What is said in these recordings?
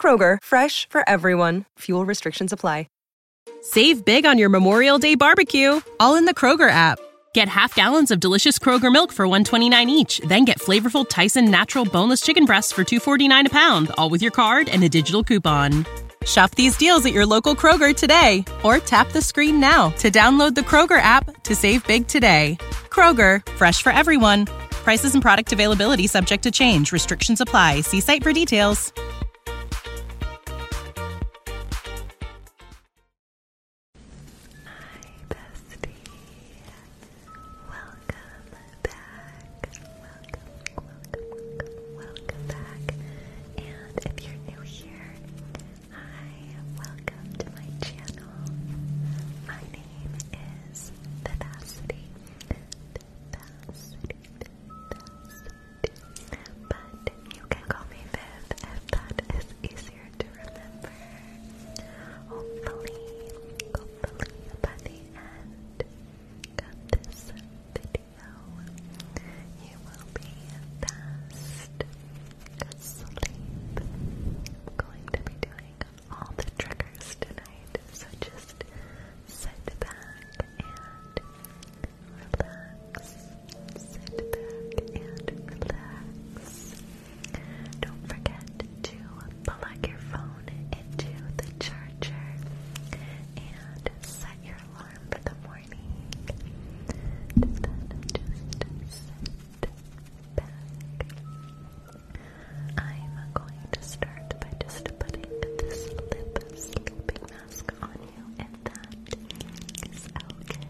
Kroger, fresh for everyone. Fuel restrictions apply. Save big on your Memorial Day barbecue, all in the Kroger app. Get half gallons of delicious Kroger milk for 129 each, then get flavorful Tyson natural boneless chicken breasts for 249 a pound, all with your card and a digital coupon. Shop these deals at your local Kroger today or tap the screen now to download the Kroger app to save big today. Kroger fresh for everyone. Prices and product availability subject to change. Restrictions apply. See site for details. Hi, bestie. Welcome back. Welcome, welcome, welcome, back. And if you're new here, hi, welcome to my channel. My name is Vivacity. But you can call me Viv if that is easier to remember. Hopefully, hopefully by the end of this video, you will be fast asleep. I'm going to be doing all the triggers tonight, so just sit back and relax. Sit back and relax. Don't forget to plug your phone into the charger and set your alarm for the morning. just sit back I'm going to start by just putting this lip sleeping mask on you, and that is okay.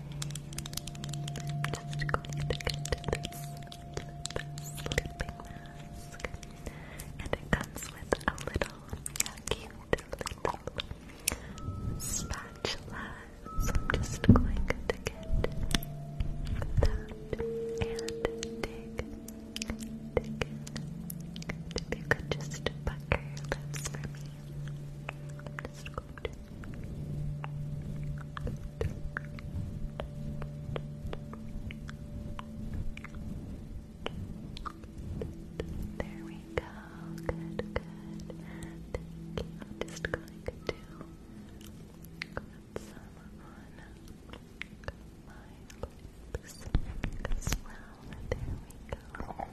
I'm just going to get this lip sleeping mask, and it comes with a little cute little spatula. So I'm just going to get that and dig if you could just buck your lips for me. I'm just going to. There we go. Good, good. Thank you. I'm just going to some on my lips as well. There we go.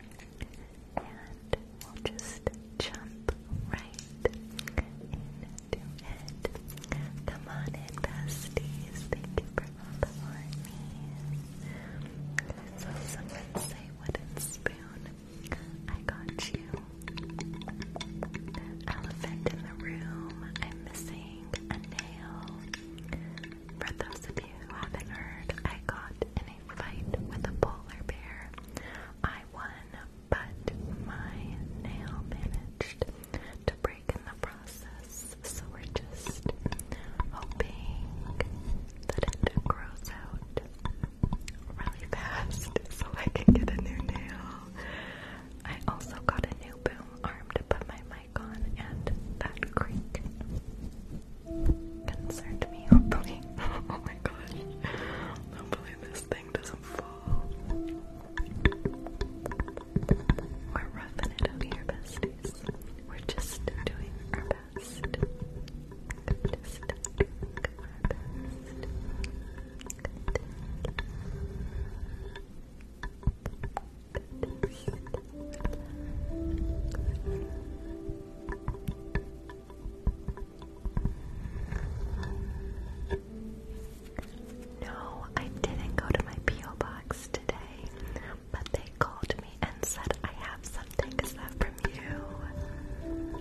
And we'll just jump right into it. Come on in, besties. Thank you for all the armies. I saw someone say wooden spoon. I got you. Elephant in the room. I'm missing a nail. For those of you who haven't heard, I got in a fight with a polar bear. I won, but my nail managed to break in the process. So we're just hoping that it grows out really fast so I can get a new nail. I also got a new boom arm to put my Mycon and that creek concerned me, oh, oh my gosh. Hopefully this thing doesn't fall. We're roughing it up here, besties. We're just doing our best. No, I didn't go to my P.O. box today, but they called me and said I have something. Is from you?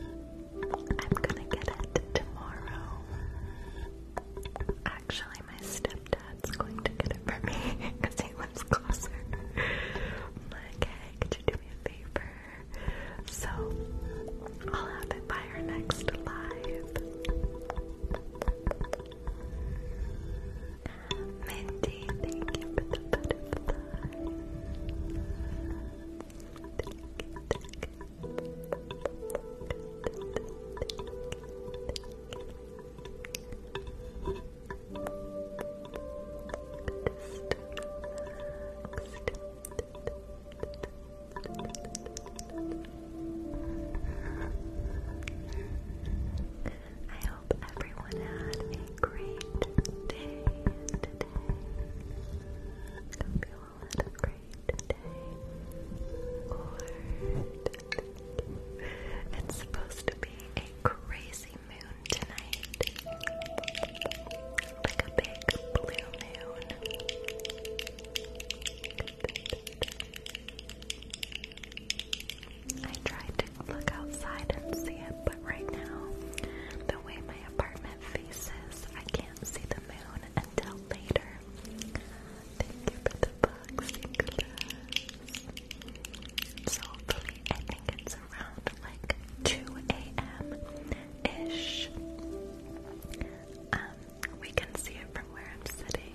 I'm gonna get it tomorrow. Actually, my stepdad's going to get it for me because he lives closer. like, hey, could you do me a favor? So I'll have it by our next live. I hope everyone had a great day today. Hope you all had a great day. Lord. It's supposed to be a crazy moon tonight. Like a big blue moon. I tried to look outside and see it, but right now, the way my apartment faces, I can't see the moon until later. Thank you for the boxing So I think it's around like 2 a.m. ish. Um, we can see it from where I'm sitting.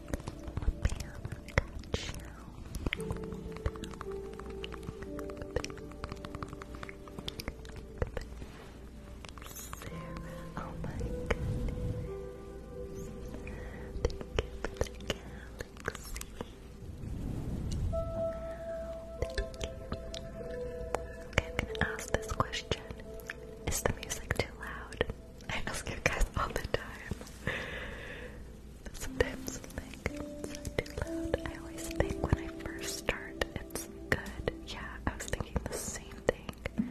oh my goodness. Thank you thank you. Okay, I'm gonna ask this question. Is the music too loud? I ask you guys all the time. Sometimes like it's too loud. I always think when I first start it's good. Yeah, I was thinking the same thing.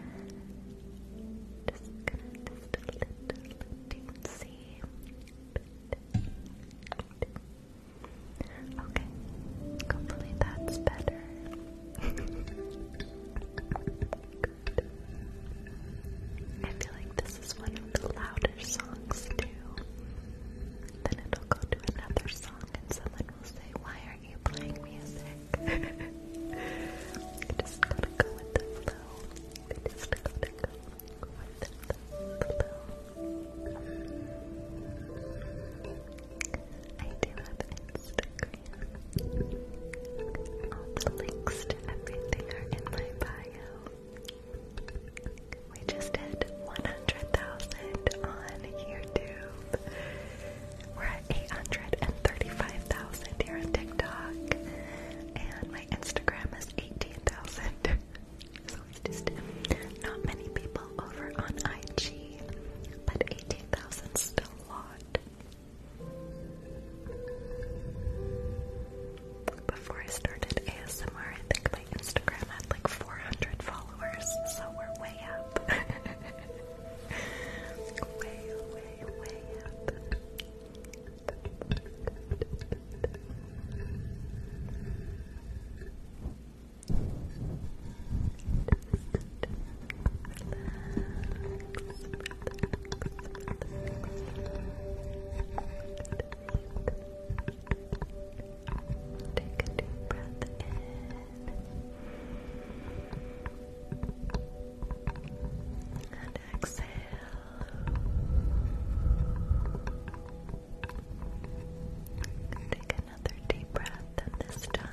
Okay. Hopefully that's better. I feel like this is one of the louder songs too. Then it'll go to another song and someone will say, Why are you playing music? just gotta go with the flow. just gotta go with the flow. I do have Instagram. All the links to everything are in my bio. We just hit 100,000 on YouTube. We're at 835,000 here on TikTok. And my Instagram is 18,000. so it's just not many people over on IG. But 18,000 is still a lot. Before I started ASMR, I think my Instagram had like 400 followers, so we're way up. way, way, way up. Take a deep breath in and exhale. Take another deep breath, and this time,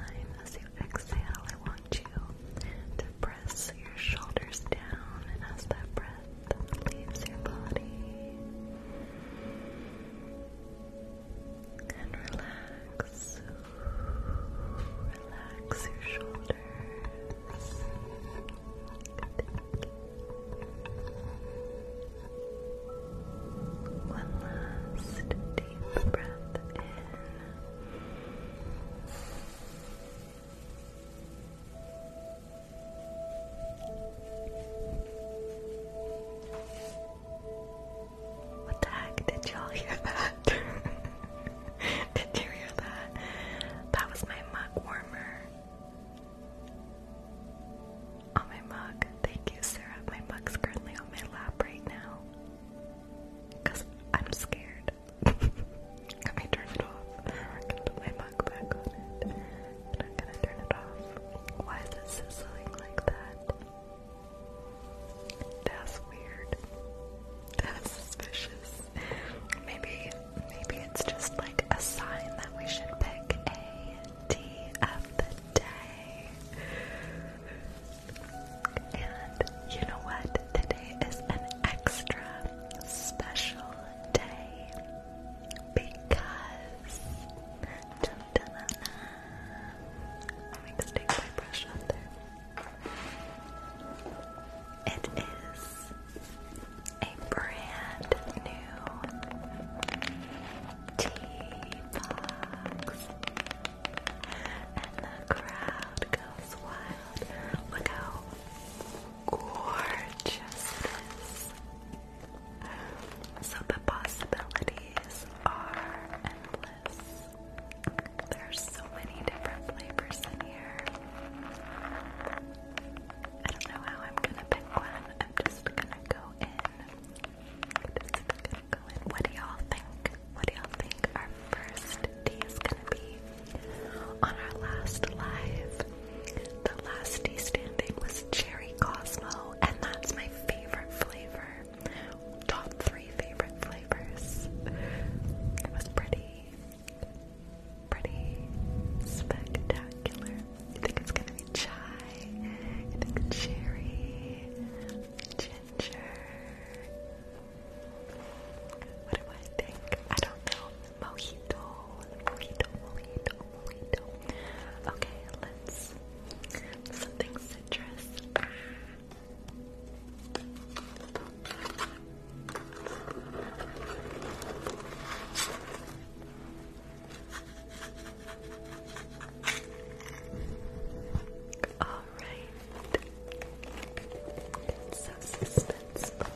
as you exhale, I want to press your shoulders down and as that breath leaves your body and relax relax your shoulders one last deep breath in what the heck? Did y'all hear that? Did you hear that? That was my mug warmer. On my mug. Thank you, Sarah. My mug's currently on my lap right now. Because I'm scared. I turned it off. I'm put my mug back on it. I'm gonna turn it off. Why is it sizzling like that? That's weird. That's suspicious. Maybe maybe it's just like a sign that we should pick a D the day. And you know what? Today is an extra special day because dun, I'm going to take my brush out there. It is a brand new tea box. And the crowd goes wild. Look how gorgeous it is. So possibilities are endless. There's so many different flavors in here. I don't know how I'm gonna pick one. I'm just gonna go in. I'm just gonna go in. What do y'all think? what do y'all think our first day is gonna be? On our last live, the last day standing was Cherry Cosmo, and that's my favorite flavor. Top three favorite flavors. It was pretty, pretty spectacular. I think it's gonna be chai, I think cherry, ginger. What do I think? I don't know. Mojito, mojito, mojito, mojito. Okay, let's something citrus. Oh, Alright. It's so suspenseful.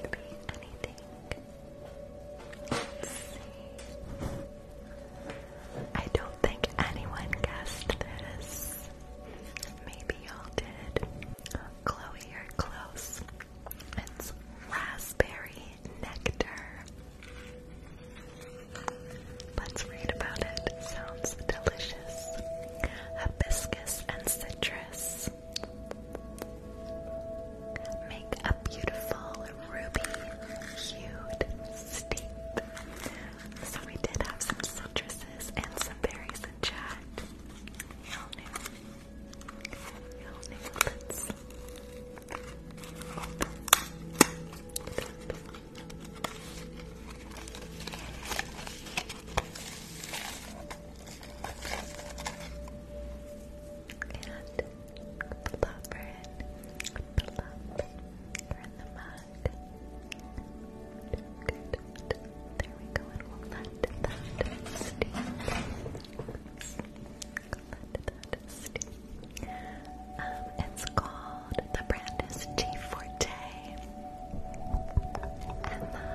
Could be anything. Let's see. I don't think anyone guessed this. Maybe y'all did. Chloe, you're close. It's raspberry nectar. Let's read about it. Sounds delicious. Hibiscus and citrus. Make a beautiful ruby-hued steep. So we did have some citruses and some berries in chat. And plop her in. Plop her in the mug. Good. There we go, and we'll let that steam. Let that steam. Um, it's called, the brand is G Forte. Emma,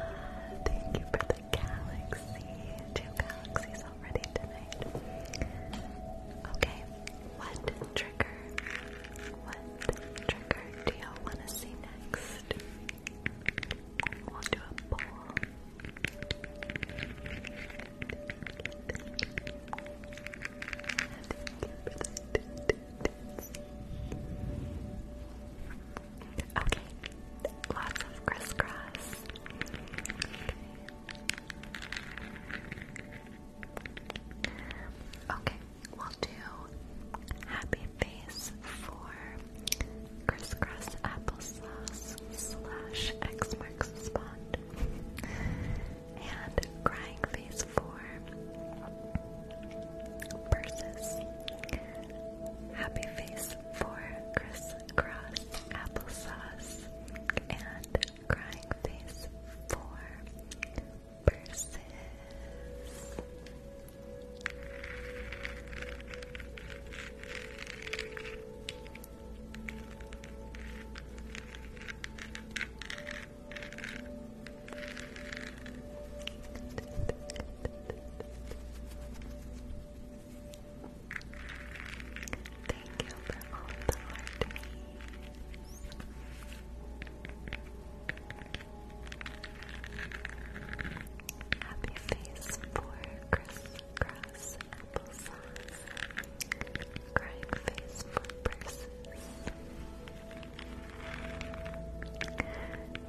thank you for the galaxy. Two galaxies already tonight. Okay, what trigger? What trigger do y'all want to see next? We'll do a poll. Okay, lots of crisscross. Okay. we'll do happy face for crisscross applesauce slash X marks the spot, and crying face for Purses. Happy Face for Crisscross Applesauce. And Crying Face for Purses. Thank you for all the hearties. Happy face for crisscross applesauce. Crying face for purses.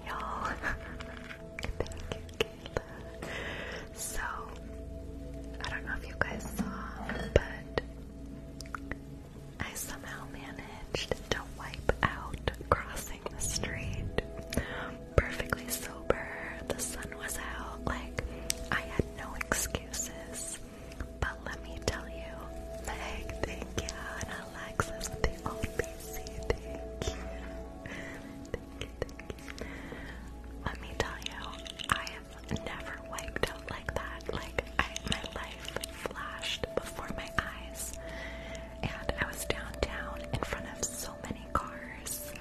Y'all, thank you, So, I don't know if you guys saw, but I somehow managed to wipe out crossing the street. Perfectly sober, the sun was out, like, I had no excuses. But let me tell you, like, thank you, let me tell you, I have never wiped out like that. Like my life flashed before my eyes, and I was downtown in front of so many cars.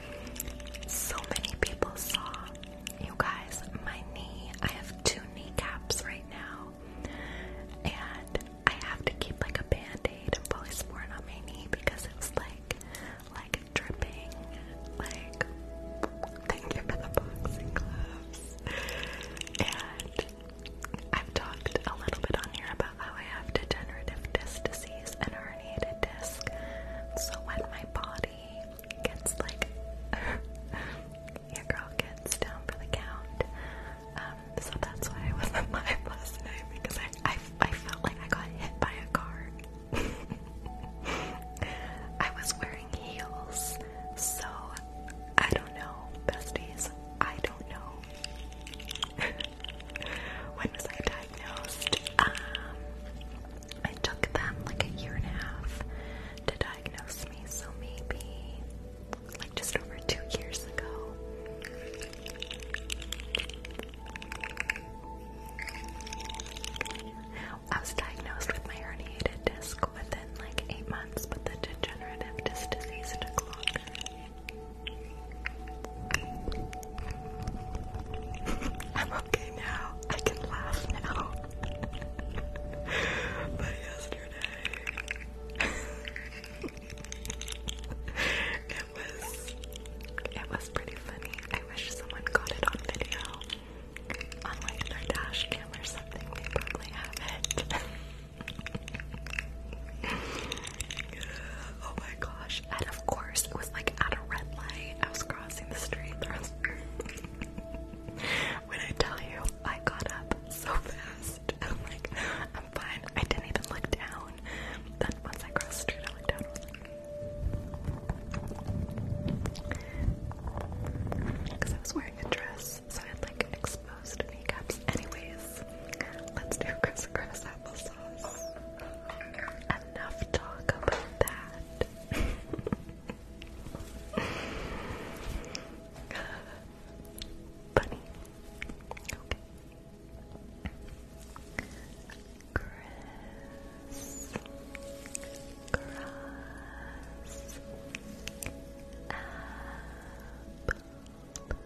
So many people saw. You guys, my knee. I have two kneecaps right now and I have to keep like a band and polysporin on my knee because it like like dripping like thank you for the boxing gloves and I've talked a little bit on here about how I have degenerative disc disease and herniated disc so when my body gets like your girl gets down for the count um, so that's why I wasn't live last night because I, I, felt like I got hit by a car. I was wearing heels, so I don't know, besties. I don't know. when was I diagnosed? Um, I took them like a year and a half to diagnose me, so maybe like just over two years ago. I was diagnosed with my herniated disc within like eight months, but the degenerative disc disease took longer. I'm okay now. I can laugh now. but yesterday. it was it was pretty funny. I wish someone got it on video. On like their dash or something, they probably have it. oh my gosh. And of course it was like at a red light. I was crossing the street. when I tell you I got up so fast. I'm like, I'm fine. I didn't even look down. Then once I crossed the street, I looked down. because I was wearing a dress, so I had like exposed kneecaps. Anyways, let's do crisscross applesauce. Enough talk about that. Bunny. Okay. Chris, Grass, Apple, Sauce, Spiders, Crawling up your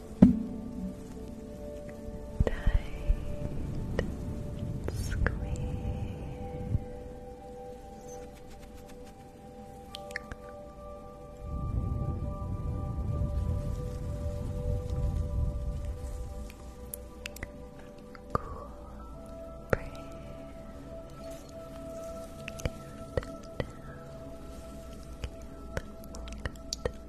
Tight squeeze. Cool breeze. down.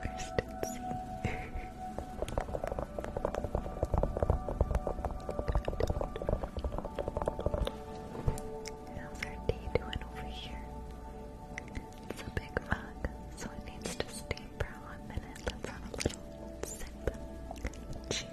Christensen. How's our tea doing over here? It's a big mug, so it needs to stay for one minute. Let's have a little sip. Cheers.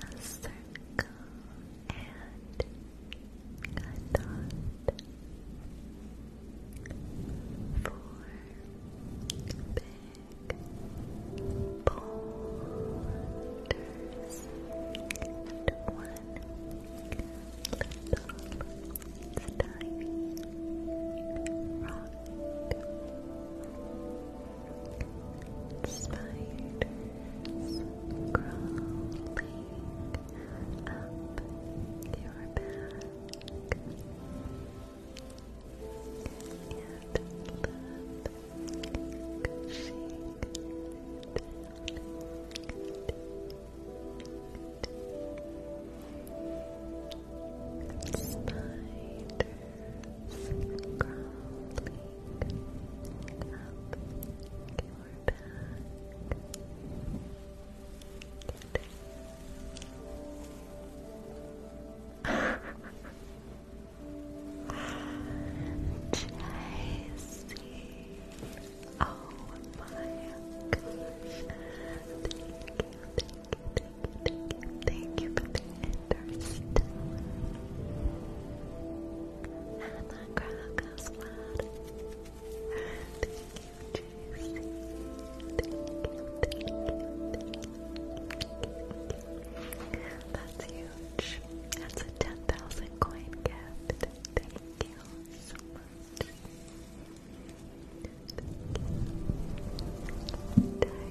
a circle and a dot. Four big boulders one little tiny rock. Spiders crawling up your back and Spiders Oh my gosh. Thank you, thank you, thank you, Interstellar. Anna Krakow's Thank you, Tracy. Thank you, thank you, thank you. That's huge. That's a 10,000 coin gift. Thank you so much.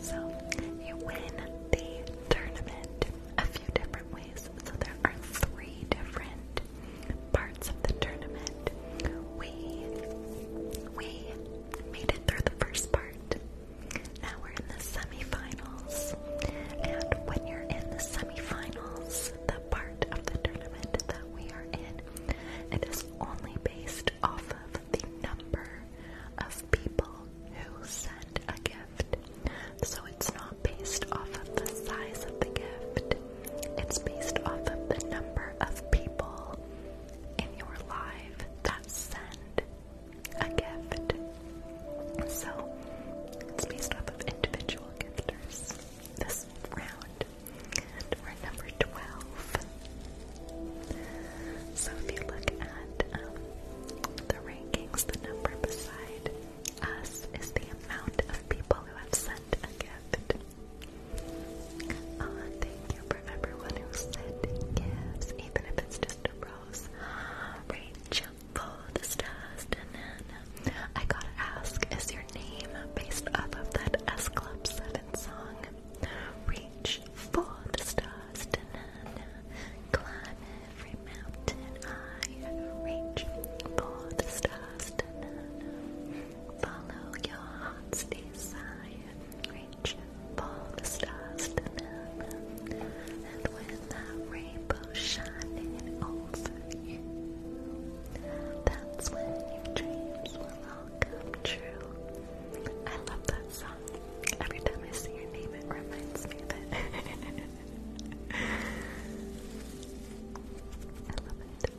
So you win the tournament a few different ways. So there are three different parts of the tournament. We we made it through the first part. Now we're in the semifinals. And when you're in the semifinals, the part of the tournament that we are in. It is only based off of the number of people who send a gift. So it's not based off of the size of the gift, it's based off of the number of people in your life that send a gift. So it's based off of individual gifters this round. we're number 12. So if you look at um, the rankings, the number beside us is the amount of people who have sent a gift. Uh, thank you for everyone who sent gifts, even if it's just a rose. Rachel, the I gotta ask, is your name based off of that S Club 7 song? Reach for the stars climb every mountain I reach for the stars follow your heart's desire, reach for the stars and when that rainbow shining and over you. That's when your dreams will all come true. I love that song. Every time I see your name, it reminds me of it. I love it.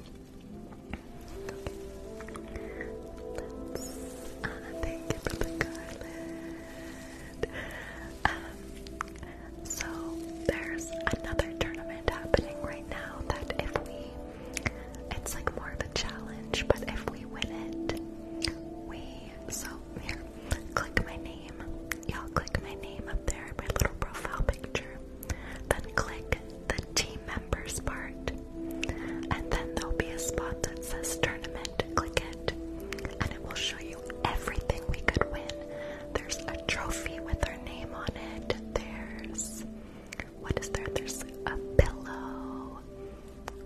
Okay. Let's. Anna, uh, thank you for the garland. Um, so there's another tournament happening right now that if we it's like more of a challenge, but if we win it, we so here, click my name. Y'all click my name up there, my little profile picture. Then click the team members part. And then there'll be a spot that says tournament. Click it. And it will show you everything we could win. There's a trophy with our their name on it. There's what is there? There's a pillow.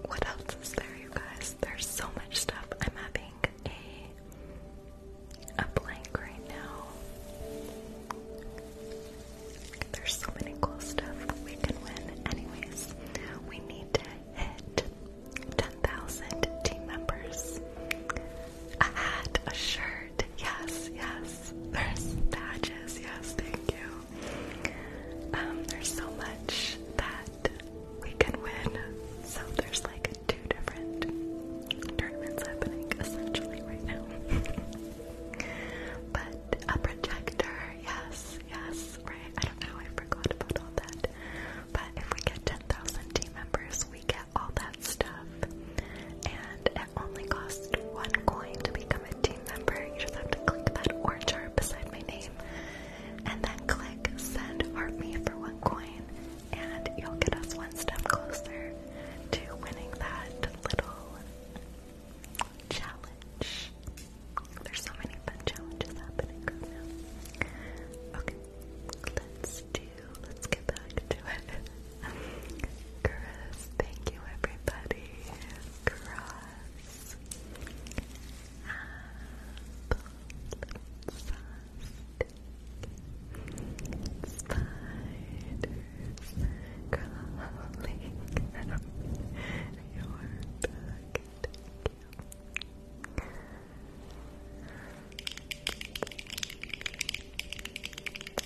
What else is there, you guys? There's so much stuff. I'm having a a blank right now. There's so many cool stuff we can win. Anyways, we need to hit 10,000 team members. A hat, a shirt. Yes, yes. There's badges. Yes, thank you. Um, there's so much that we can win. So there's like two different tournaments happening essentially right now. but a projector, yes, yes, right. I don't know, I forgot about all that. But if we get 10,000 team members, we can all that stuff. And it only costs one coin to become a team member. You just have to click that orange heart beside my name and then click send art me for one coin and you'll get us one step closer to winning that little challenge. There's so many fun challenges happening right now. Okay, let's do Let's get back to it. Chris, thank you everybody. Cross. Spiders crawling your back. Thank you.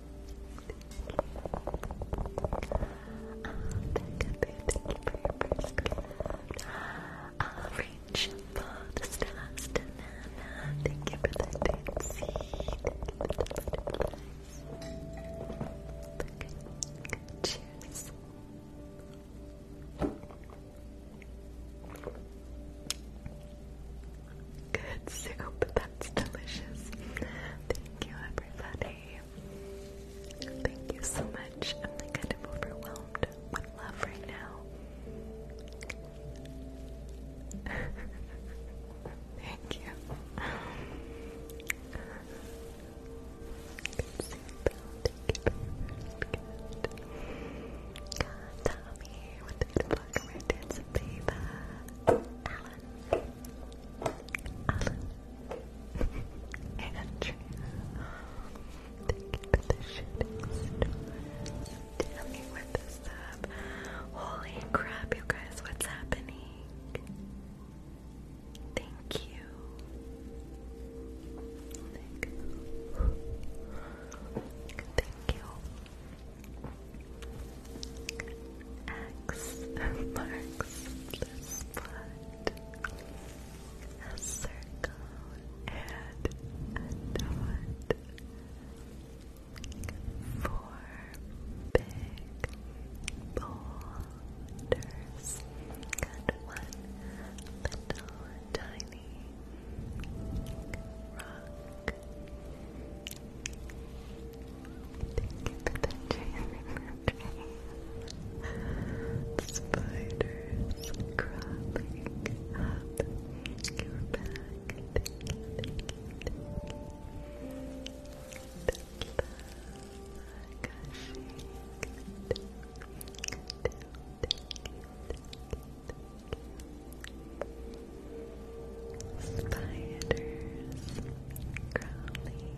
thank you for your first gift. reach for the stars tonight. Thank you for the deep sea. Thank you for Cheers. Good soup. That's delicious. Thank you, everybody. Thank you so much. I'm like kind of overwhelmed with love right now. Thank you. Good soup. Thank you. God, Tommy, what the fuck? We're dancing, Alan, Andrea, thank you the shooting stars. Tell me what this Holy crap, you guys, what's happening? Thank you. Thank you. Thank you. X marks the spot. A circle and a dot. Four big boulders and one little tiny rock. Thank you for dream. Spiders crawling up your back. Thank you, Spiders crawling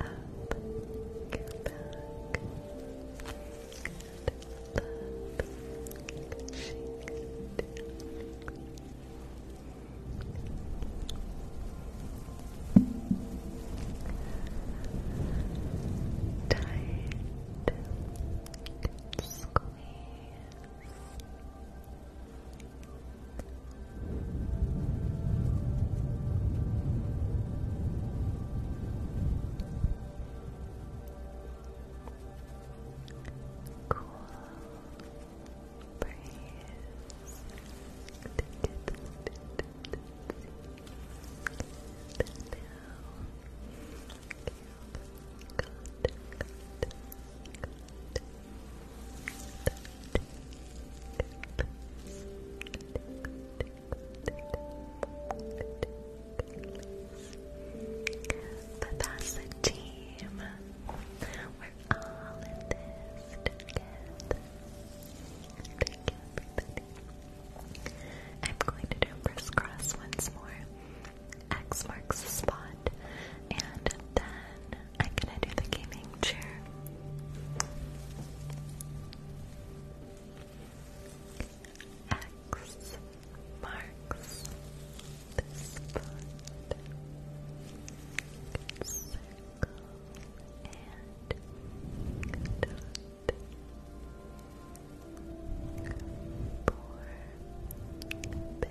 up your back. Good Tight squeeze. Cool breeze. Down. Good, good, good, good that's the team. We're all in this together. I'm going to do crisscross once more. X marks the spot, and then I'm gonna do the gaming chair. X marks the spot. Circle and dot. big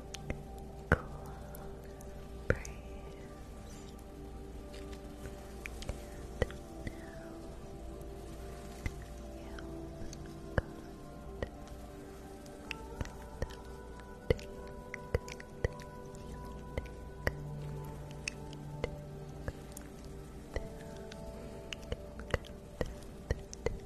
cool breeze. And you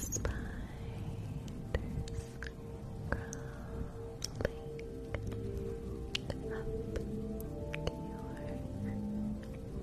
Spiders crawling up your back. Crack an egg on your head. And let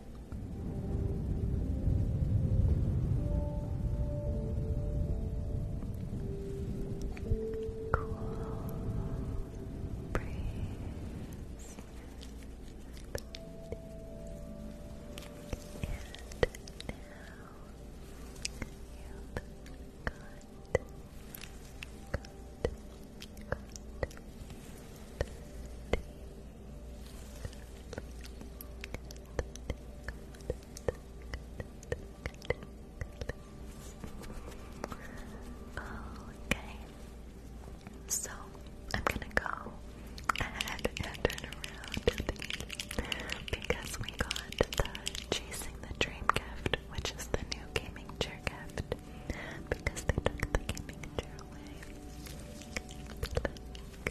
Cool breeze. And now you got, got, got, got Okay, so I'm gonna go and turn around because we got the Chasing the Dream gift, which is the new gaming chair gift, because they took the gaming chair away.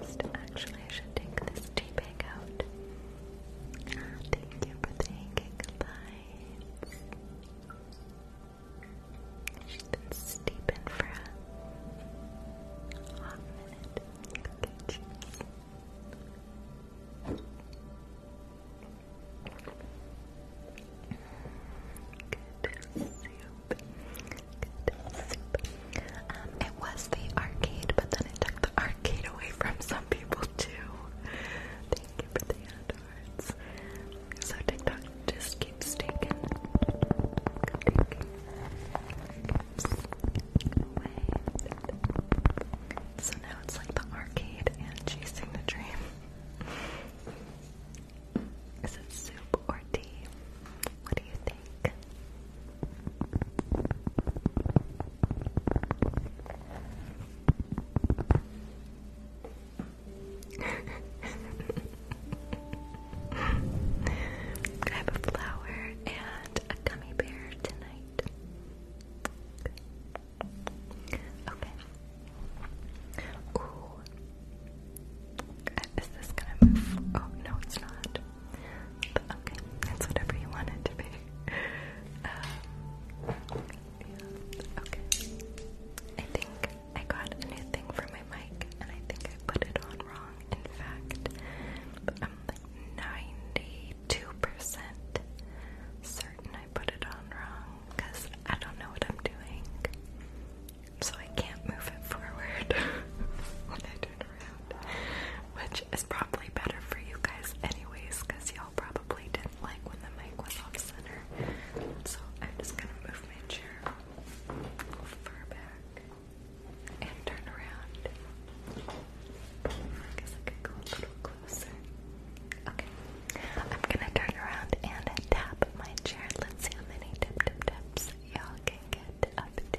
Just actually, I should take this tea out. Ah, thank you She's been steeping for a minute. Okay, cheers. Um, it was the arcade, but then it took the arcade away from some people too. Thank you for the hearts. So TikTok just keeps taking, So now it's like the arcade and chasing the dream. Is it soup or tea? What do you think? like. I have a flower and a gummy bear tonight. Okay. okay. Ooh. Is this gonna move? Oh, no, it's not okay, that's whatever you want it to be. Um, okay. I think I got anything new for my mic, and I think I put it on wrong. In fact, I'm like 92% certain I put it on wrong because I don't know what I'm doing. So I can't move it forward when I which is probably better for you guys, anyways, because y'all probably didn't like when the mic was off center. So I'm just gonna move my chair far back and turn around. I guess I could go a little closer. Okay, I'm gonna turn around and tap my chair. Let's see how many tip y'all can get up to.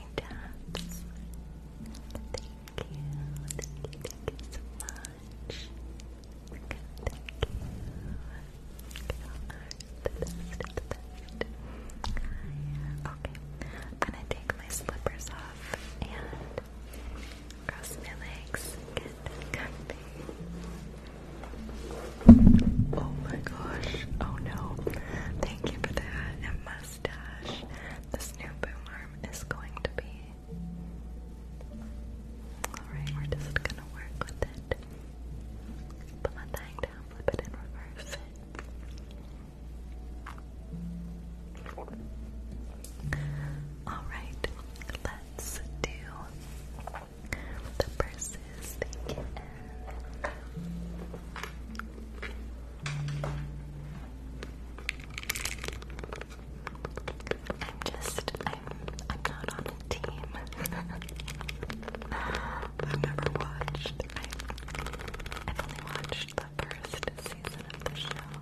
Thank you. Thank you. Thank you so much. Okay. I'm gonna take my slippers off and cross my legs. Oh my gosh. Oh no. Thank you for that, Emma. This new boom arm is going to be. Alright, we're just gonna work with it. Put my thing down, flip it in reverse. Alright, let's do the purses. I'm just, I'm, I'm not on a team. I've never watched. I've only watched the first season of the show.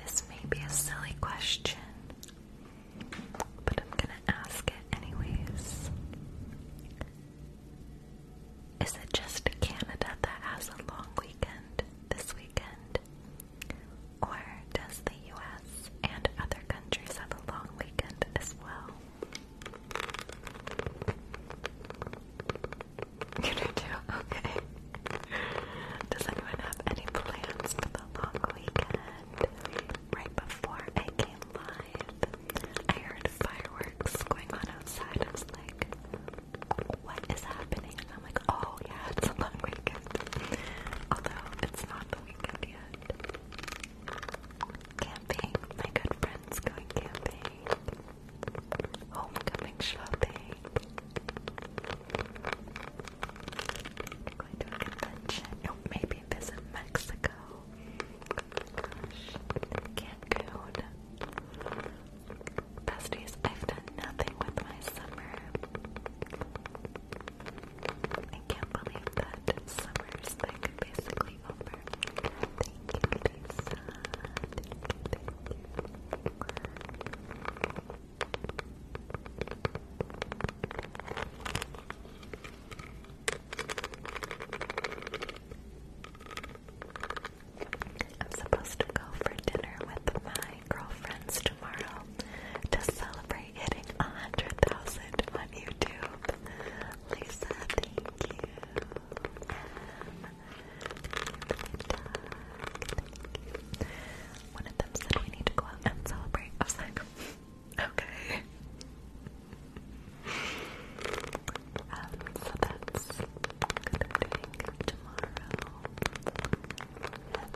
This may be a silly question, but I'm gonna ask it anyways. Is it just Canada that has a long weekend this weekend? Or does the US and other countries have a long weekend as well? You do Okay. Does anyone have any plans for the long weekend? Right before I came live, I heard fireworks going on outside. I was like, what is happening? And I'm like, oh yeah, it's a long weekend. Although it's not the weekend yet. Camping, my good friends going camping. Homecoming shopping. Going to a convention. Oh, maybe visit Mexico. Cancun. Oh, Besties, I've done nothing with my summer. I can't believe that summer's like basically over. Thank you, Lisa. I'm supposed to go for dinner with my girlfriends tomorrow to celebrate hitting a 100,000 on YouTube. Lisa, thank you. One of them said we need to go out and celebrate. I was like, okay. Um, so that's what i tomorrow.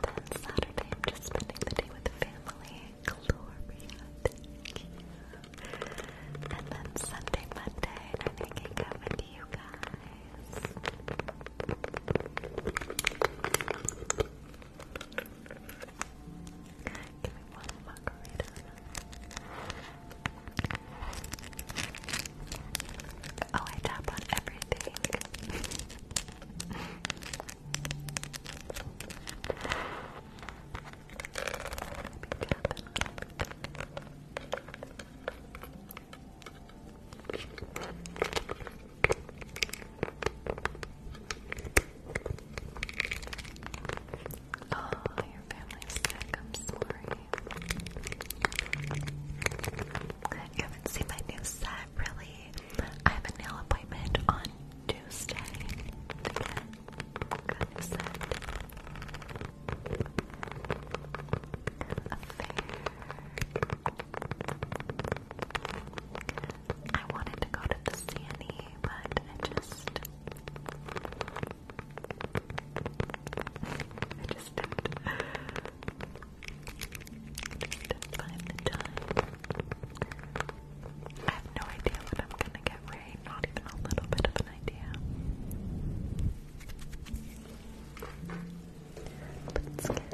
then Saturday, I'm just spending the day with the family. Gloria, thank And then Sunday, Monday, I'm hanging out with you guys. Give me one margarita. Oh, I tap on everything. Maybe tap Oh, your family's sick. I'm sorry. You haven't seen my new set, really. I have a nail appointment on Tuesday. Got a set. I wanted to go to the Sandy, but I just I just didn't did find the time. I have no idea what I'm gonna get right, not even a little bit of an idea. Let's get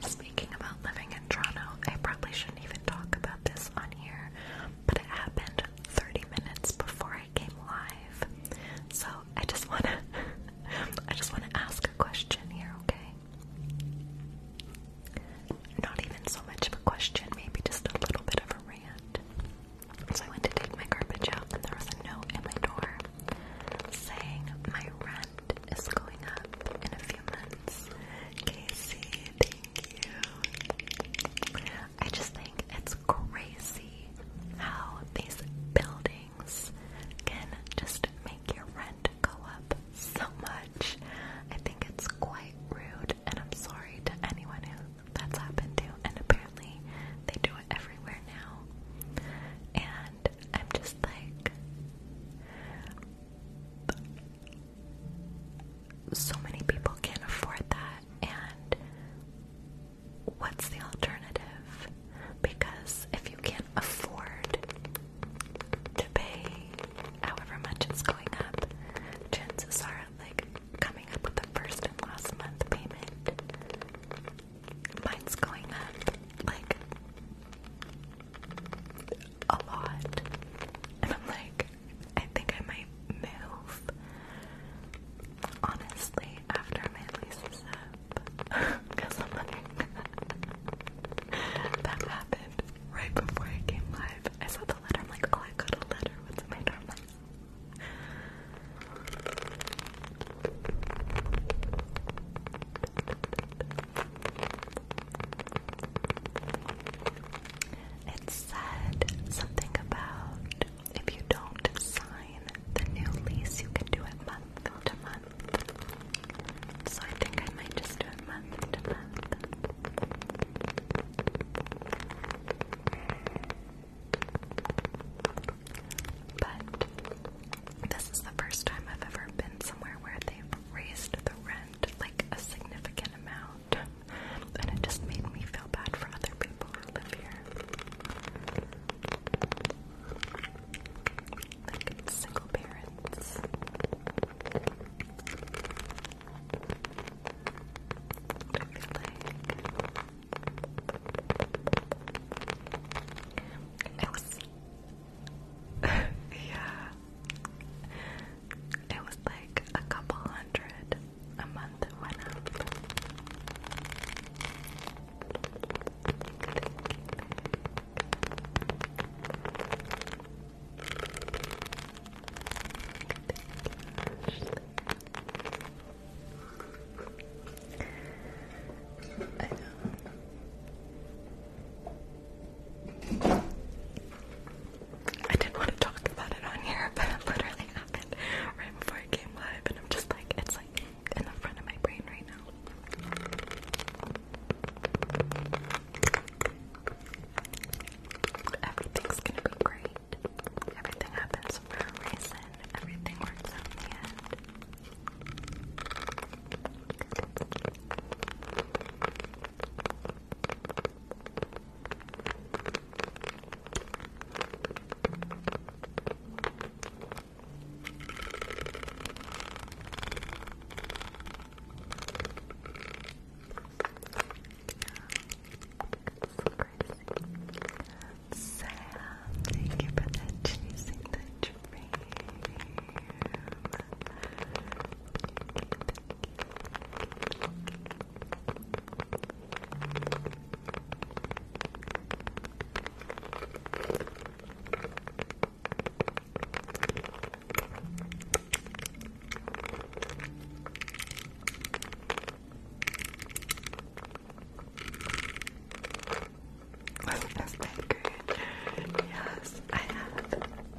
Speaking about living in Toronto, I probably shouldn't even talk about this on here, but it happened 30 minutes before I came live. So I just wanna I just wanna ask a question here, okay? Not even so much of a question, maybe just a little bit of a rant. So I went to take my garbage out and there was a note in my door saying my rent is going up in a few months. Casey, thank you. I just think it's crazy how these buildings can just make your rent go up so much. I think it's quite rude, and I'm sorry to anyone who that's happened to, and apparently they do it everywhere now. And I'm just like, so many people can't afford that and what's the alternative because if you can't afford to pay however much it's going up chances are like coming up with the first and last month payment mine's going up like a lot. And I'm like, I think I might move. Honestly, after my lease is up. Because I'm like, that happened right before I came live. I saw the letter, I'm like, oh, I got a letter. What's my dorm it said something about if you don't sign the new lease, you can do it month to month. So I think I might just do it month to month. But this is the first time I've ever been somewhere where they've raised the rent like a significant amount, and it just made me feel bad for other people who live here. Like single parents. I feel like I was yeah. It was like a couple hundred a month went up. I know. I didn't want to talk about it on here, but it literally happened right before I came live, and I'm just like, it's like in the front of my brain right now. Everything's gonna be great. Everything happens for a reason. Everything works out in the end. Sam, thank you for the dream. Wasn't this Yes, I have.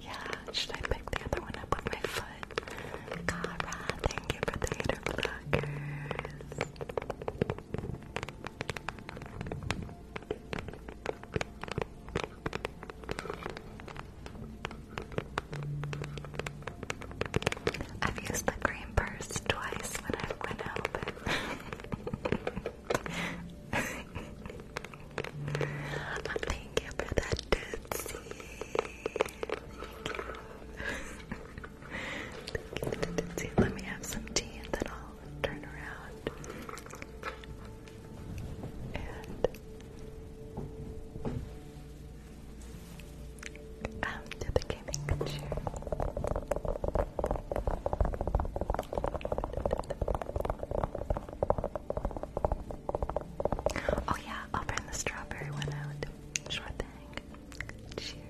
Yeah, should I pick the other one up with my foot? Cara, thank you for the hater I've used the green purse twice when I've went out. Thank you for that, Tootsie. Thank Let me have some tea and then I'll turn around. Um, to the gaming chair. Oh yeah, I'll bring the strawberry one out. Sure thing. Cheers.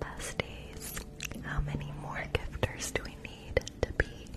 Besties, how many more gifters do we need to beat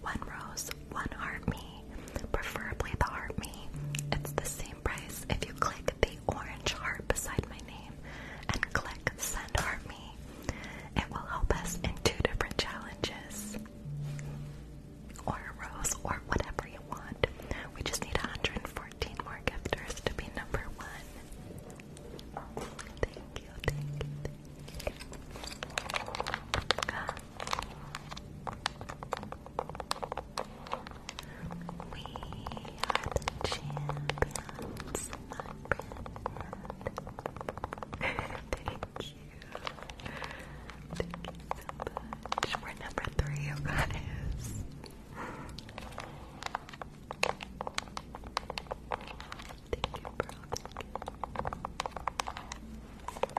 One rose, one heart me, preferably the heart me. It's the same price if you click the orange heart beside my name and click send heart me. It will help us in two different challenges. Or a rose, or whatever you want. We just need 114 more gifters to be number one. We are the champions, Thank you. Thank you We're number three, you guys. Thank you, bro. Thank you.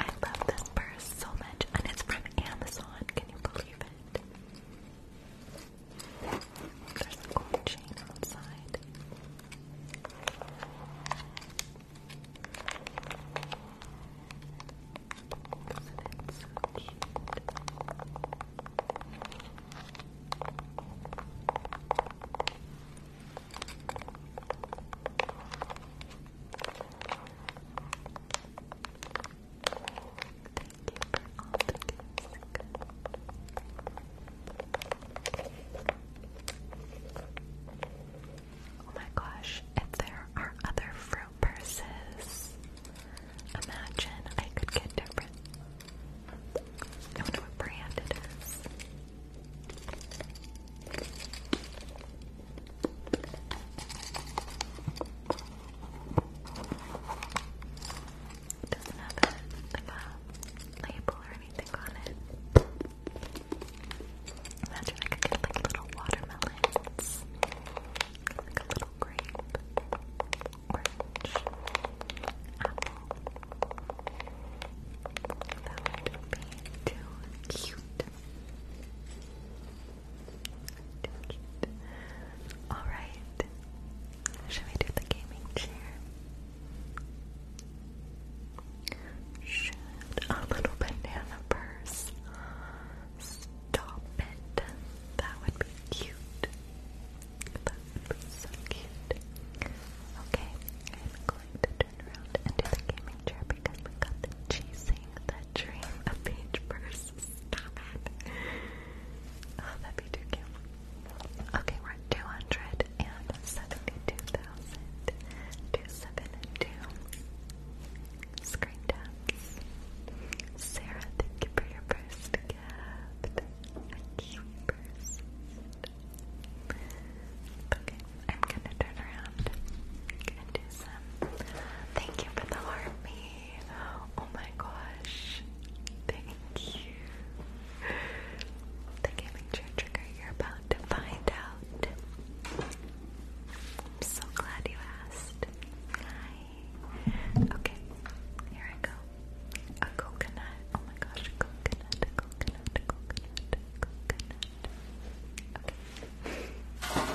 I love this purse so much, and it's from Amazon. Can you believe it? There's a gold chain outside. Isn't it so cute? Oh my gosh, if there are other fruit purses, imagine I could get different. I wonder what brand it is. It doesn't have like a label or anything on it. Imagine I could get like little watermelons, like little grape, orange, apple. That would be too cute. Alright. Should we do the gaming chair? a little banana purse? Stop it. That would be cute. so cute. Okay, I'm willing to turn around into the gaming chair because we got the chasing the dream of page burst. Oh, that'd be too cute. Okay, we're at 272,272 screen taps. Sarah, thank you for your first gift. A cute burst. Okay, I'm gonna turn around. I'm gonna do some. Thank you for the army. Oh my gosh. Thank you. The gaming chair trigger you're about to find out. I'm so glad you asked. Okay, here I go. A coconut. Oh my gosh, coconut, coconut, coconut coconut. Okay. Oops. Okay.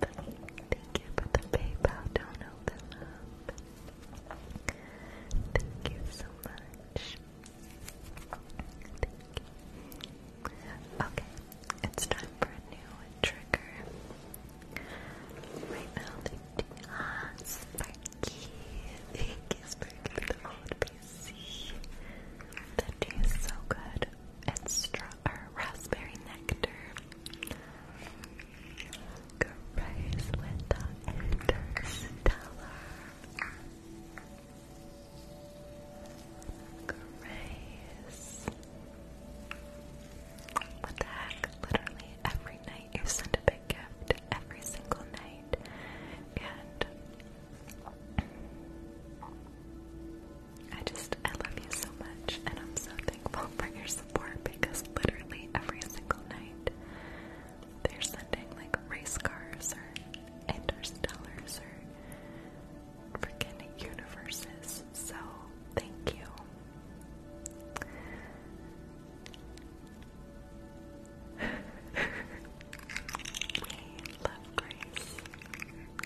Thank you for the PayPal. Don't open up. Thank you so much. Okay, it's time for a new trigger. Right now, the ah, Sparky. Thank you, the old PC. so good. It's raspberry nectar. Grace with the Interstellar. Grace. What the heck? Literally every night you send a big gift. Every single night. And I just, I love you so much. And I'm so thankful for your support because literally every single night they're sending like race cars or interstellars or freaking universes. So thank you. we love Grace.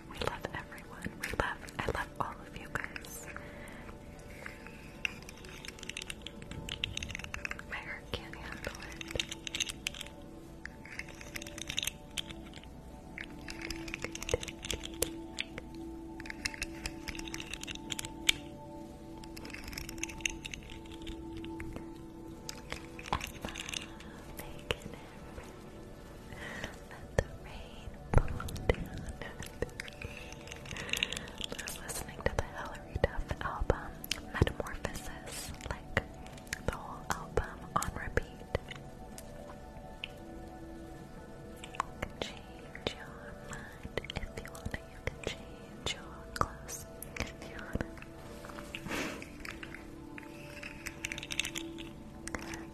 We love everyone. We love I love all of you guys. My heart can't handle it. I love making it. Let the rain I was listening to the Hillary Duff album, Metamorphosis, like the whole album on repeat. change your mind if you wanna, change your clothes if you wanna.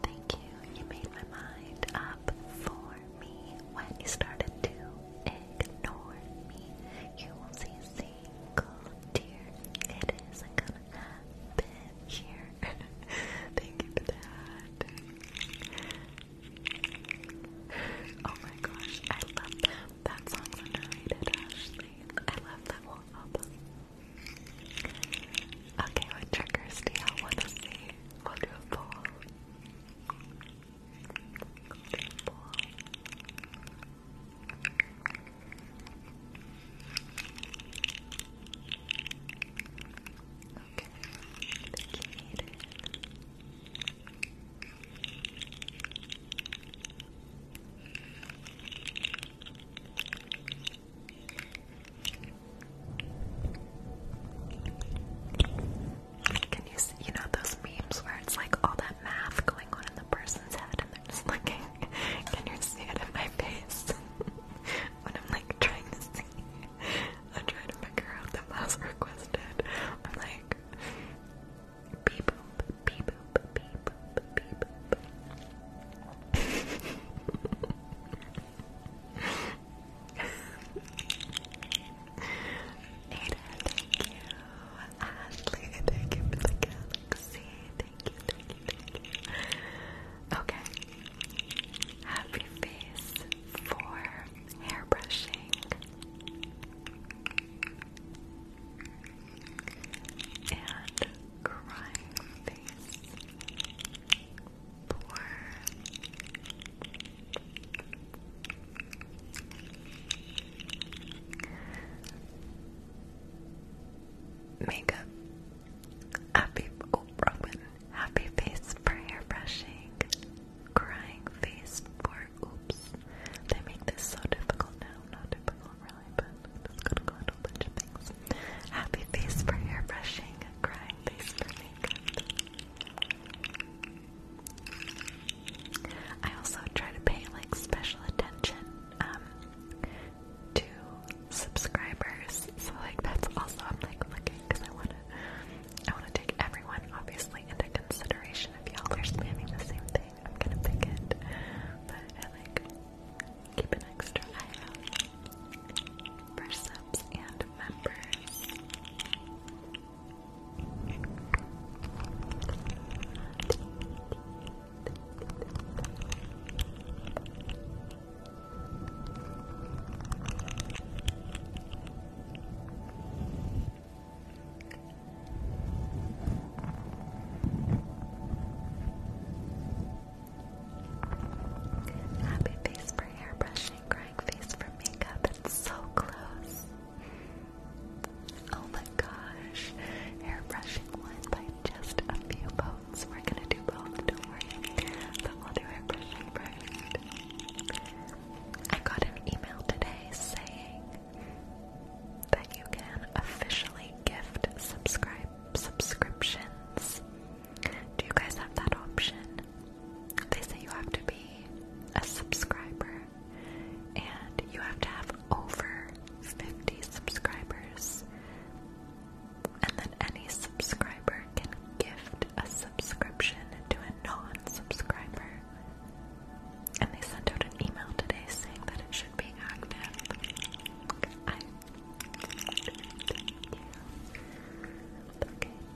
Thank you, you made my mind up for me when you started to ignore me. You won't see a single tear. its isn't gonna happen here. Thank you for that. Oh my gosh, I love that. That underrated, I love that whole Okay, what triggers do you want to see? we Good boy. Okay, I think you need it. Can you see, you know, those memes where it's like all that math going on in the person's head and they're just looking? Can you see it in my face? when I'm like trying to see, I'm trying to figure out the mouse requested. I'm like, beep boop, beep boop, beep boop, beep boop. Ada, thank you. Ashley, thank you for the galaxy. Thank you, thank you, thank you. Okay. Happy face for hair brushing. And crying face four, makeup, happy, oh, happy face for hair brushing, crying face for oops. They make this so difficult now, not difficult really, but it's gonna go into a bunch of things. Happy face for hair brushing, crying face for makeup. I also try to pay like special attention um, to subscribers, so like that's also I'm like looking because I wanna I wanna take everyone obviously into consideration. If y'all are spamming the same thing, I'm gonna pick it, but I like keep an extra eye out for subs and members. Happy face for hair crying face for makeup. It's so close. Oh my gosh. Airbrushing one by just a few boats. We're gonna do both, don't worry. But we'll do airbrushing first. I got an email today saying that you can officially gift subscribe subscriptions. Do you guys have that option? they say you have to be a subscriber and you have to have over 50 subscribers. And then any subscriber can gift a subscription to a non subscriber. And they sent out an email today saying that it should be active. Okay.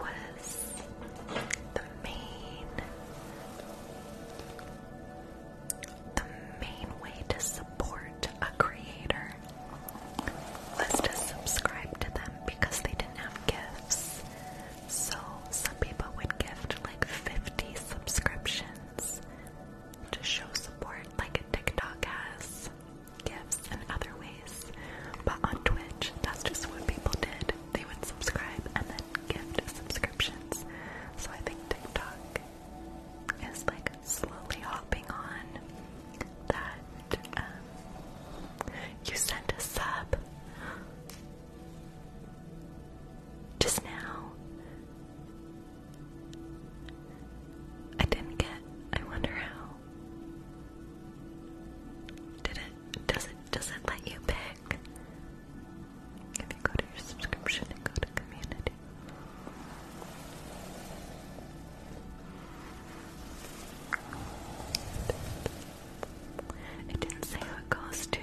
that was the main the main way to support a creator was to subscribe to them because they didn't have gifts. So some people would gift like 50 subscriptions to show support like TikTok has. Gifts and other ways. But on Twitch, that's just what people did. They would subscribe and then gift subscriptions. So I think TikTok is like slowly hopping on that um, you sent a sub just now. I didn't get, I wonder how. Did it? it does it does it let you pick? If you go to your subscription and go to community. It didn't say who it goes to.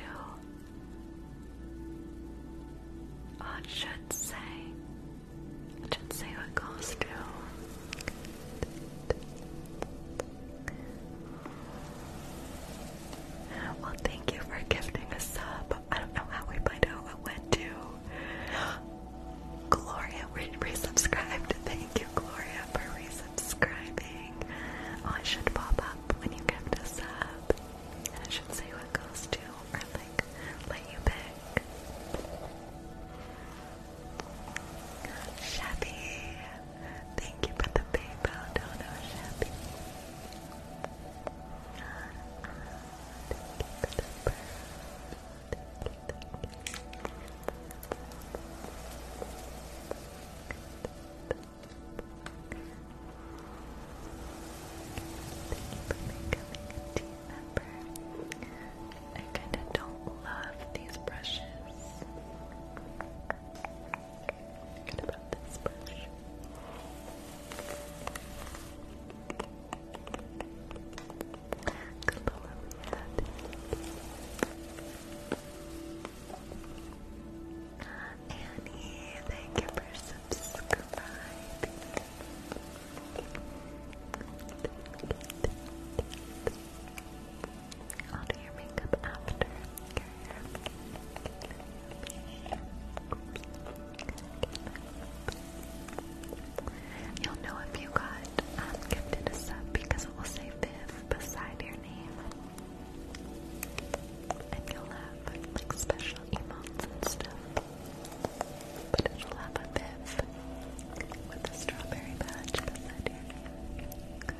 Oh, should say. It should say who it goes to. Well, thank you for gifting a sub. I don't know how we find out what went to. Gloria re resubscribed. Thank you, Gloria, for resubscribing. Oh, it should pop up when you gift a sub. And it should say what goes to, or like, let you pick. Shabby, thank you for the PayPal dono, Shabby. Thank you for becoming a team member. I kind of don't love these brushes. Forget this brush. Good Annie, thank you for subscribing. Thank thank you. I'll do your makeup after. You'll know if you got um, gifted a sub because it will say Viv beside your name. And you'll have like special emotes and stuff. But it'll have a Viv with a strawberry badge beside your name.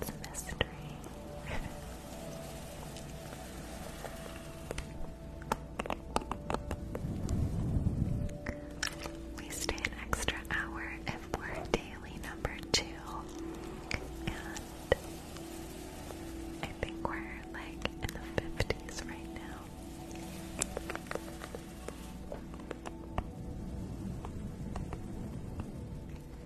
It's a mystery. we stay an extra hour if we're daily number two. And I think we're like in the 50s right now.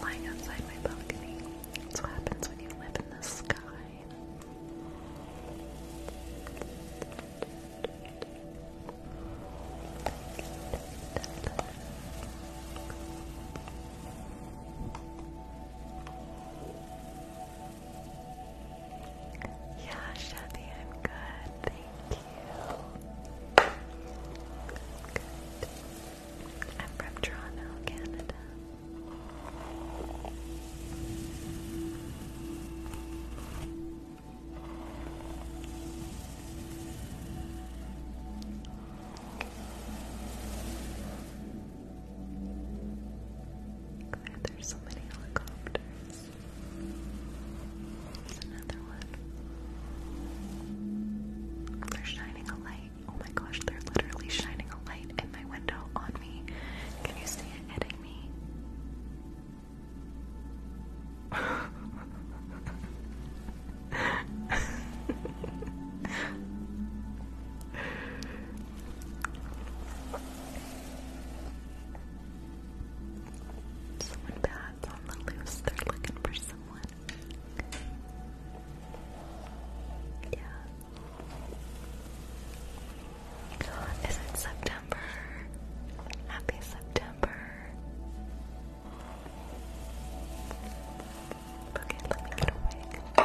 lying outside my balcony. That's what happens when you live in the sky. Yeah, Shelly, I'm good. Thank you. Good. I'm from Toronto, Canada. there's so many helicopters. There's another one. They're shining a light Oh my gosh, they're literally shining a light in my window on me. Can you see it hitting me? Someone bats on the loose, they're looking for someone. Yeah. Is it September? Happy September. Okay, let me get a Let me get a you?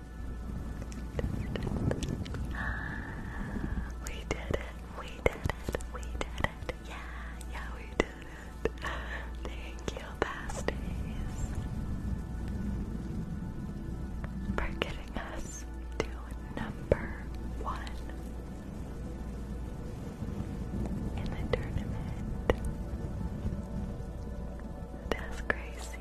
We did it, we did it, we did it. Yeah, yeah, we did it. Thank you, pasties, for getting us to number one in the tournament. That's crazy.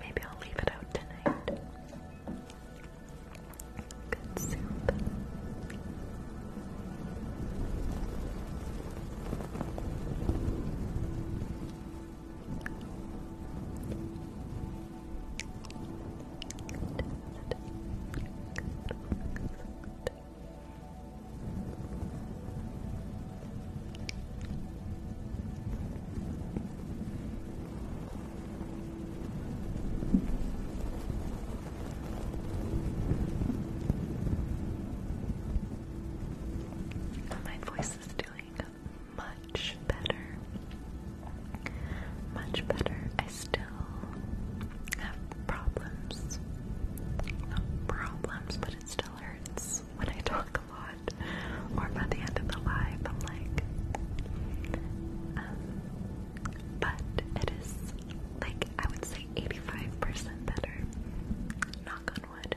Maybe I'll leave it out tonight. Good soup. My voice is doing much better. Much better. I still have problems. Not problems, but it still hurts when I talk a lot. Or by the end of the live, like. Um, but it is like I would say 85% better. Knock on wood.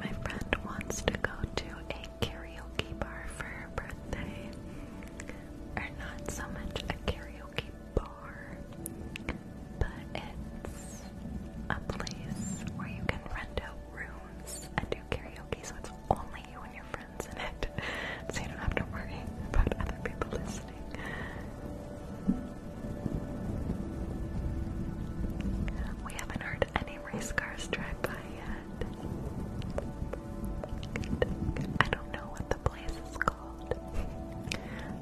My friend wants to go to a karaoke bar for her birthday. Or not so much a karaoke bar, but it's a place where you can rent out rooms and do karaoke so it's only you and your friends in it. So you don't have to worry about other people listening. We haven't heard any race cars drive by yet. I don't know what the place is called,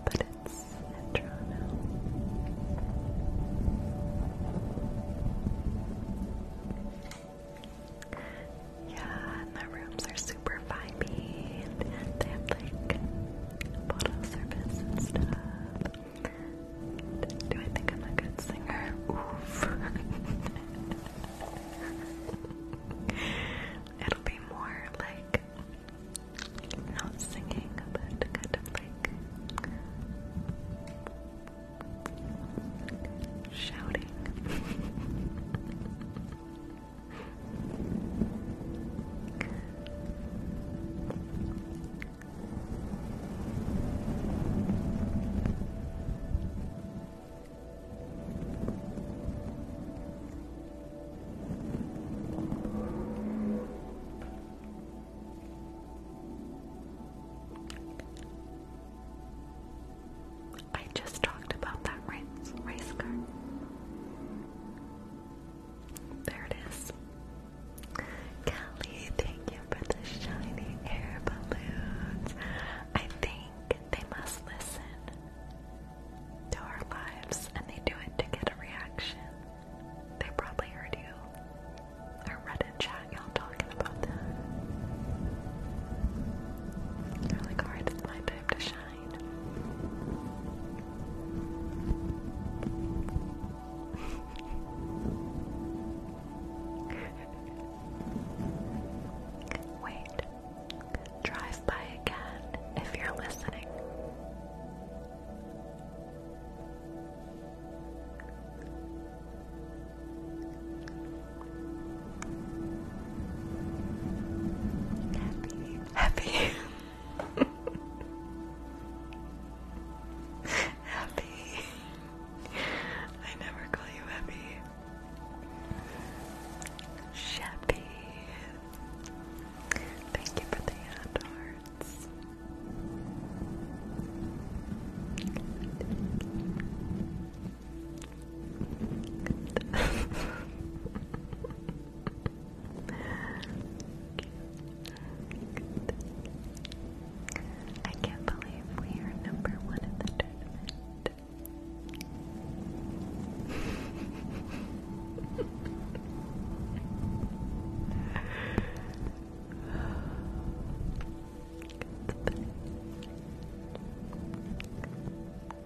but it's in yeah, and the rooms are super vibey, they have like bottle service and stuff. do I think I'm a good singer? Oof. It'll be more like not singing, but kind of like shouting. I just talked about that race race car. There it is. Kelly, thank you for the shiny air balloons. I think they must listen to our lives and they do it to get a reaction. They probably heard you or read in chat y'all talking about that. They're like, alright, it's my time to shine. Wait. Drive by again if you're listening. Happy happy. happy. I never call you happy. Shappy. Thank you for the hearts. I can't believe we are number one in the tournament.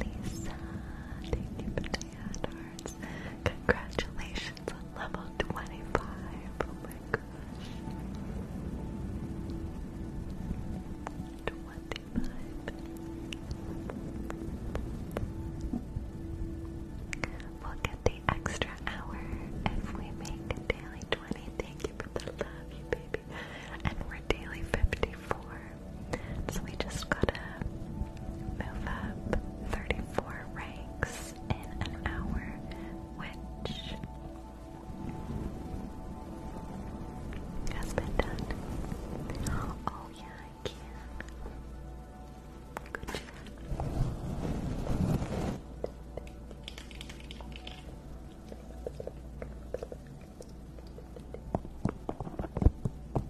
Lisa, thank you for the hard Congratulations on level 25. Oh my gosh. 25. We'll get the extra hour if we make daily 20. Thank you for the love, you baby. And we're daily 54. So we just gotta move up 34 ranks in an hour, which has been done. Oh, yeah, I can. Good job.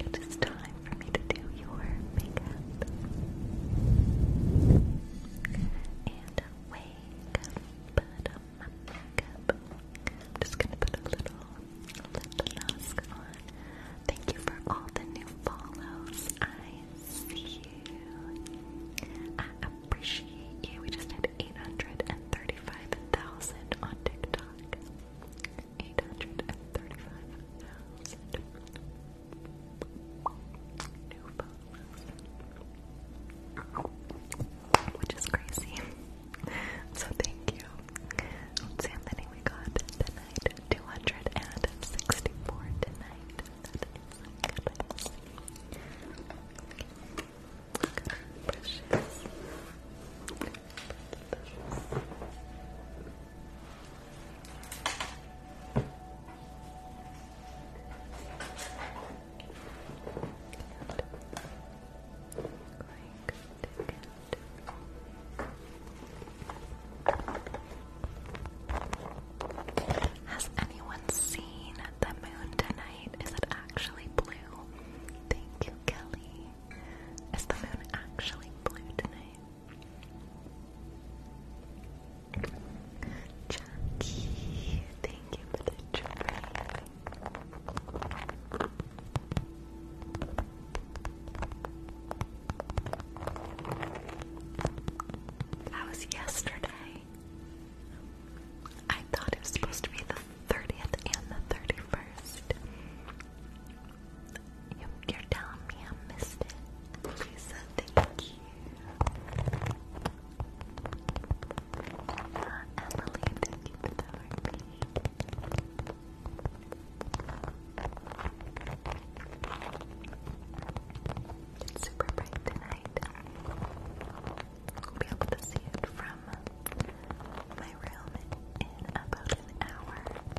It is time for me to do your makeup and wake up, put on my makeup. I'm just gonna put a little lip mask on. Thank you for all the new follows. I see you. I appreciate you. We just had 835,000 on TikTok eight hundred and thirty-five thousand new followers, which is crazy. So thank you. Let's we got tonight. Two hundred and sixty-four tonight. Precious. Has anyone seen the moon tonight? Is it actually blue? Thank you, Kelly. Is the moon actually blue tonight? Chunky, thank you for the trip. That was yesterday. I thought it was supposed to be the 30th and the 31st. You're telling me I missed it. Lisa, thank you. Uh, Emily, thank you It's super bright tonight. We'll be able to see it from my room in about an hour.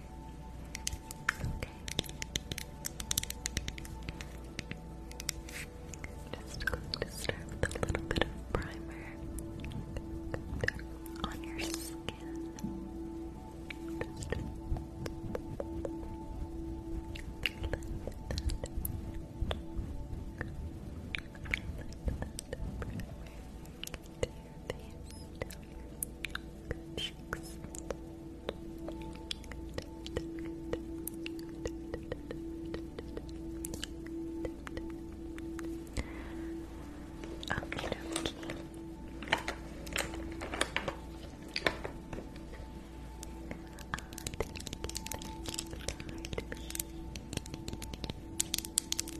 Okay. Just going to start with a little bit of primer on your skin to your face, down your cheeks. Okay, okay. Uh, thank you, thank you,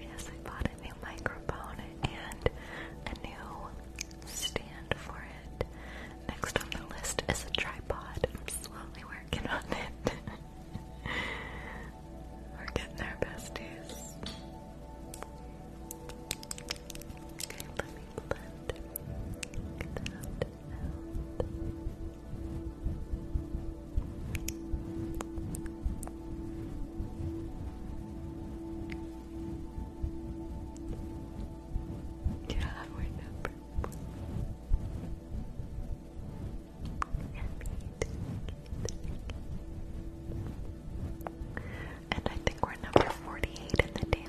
Yes, I bought a new microphone and a new stand for it. Next on the list is a tripod. I'm slowly working on it. We're getting our besties. Okay, let me blend Yeah, we're number And I think we're number 48 in the daily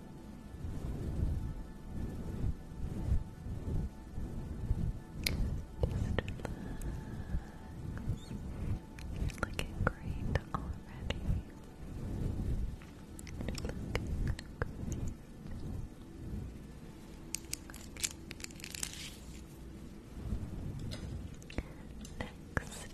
relax. You're looking great already. Next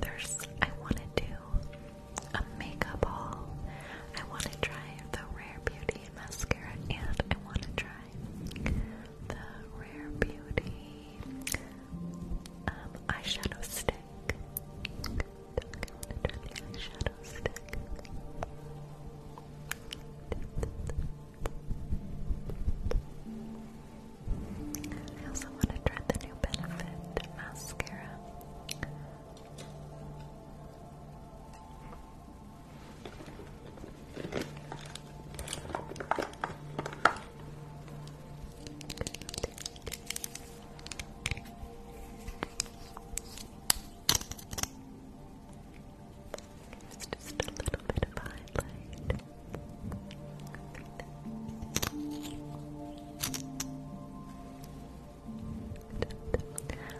there's I want to do a makeup haul. I want to try the Rare Beauty mascara and I want to try the Rare Beauty um, eyeshadow stick. eyeshadow stick. I also want to try the new Benefit mascara. It's just a little bit of highlight.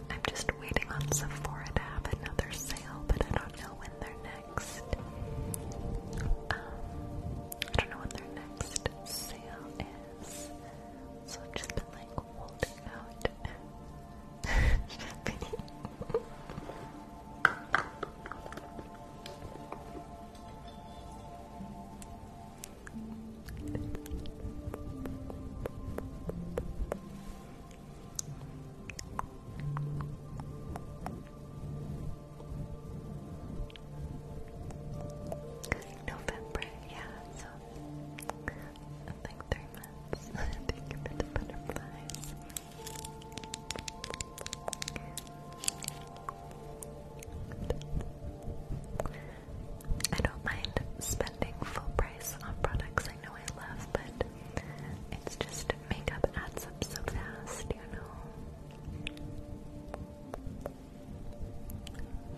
I'm just waiting on Sephora to have another sale, but I don't know when they're next. Um, I don't know when their next sale is, so I've just like holding out. November, yeah, so like three months. Thank you for the butterflies. I don't mind spending full price on products I know I love, but it's just makeup adds up so fast, you know.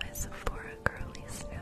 My Sephora girlies now.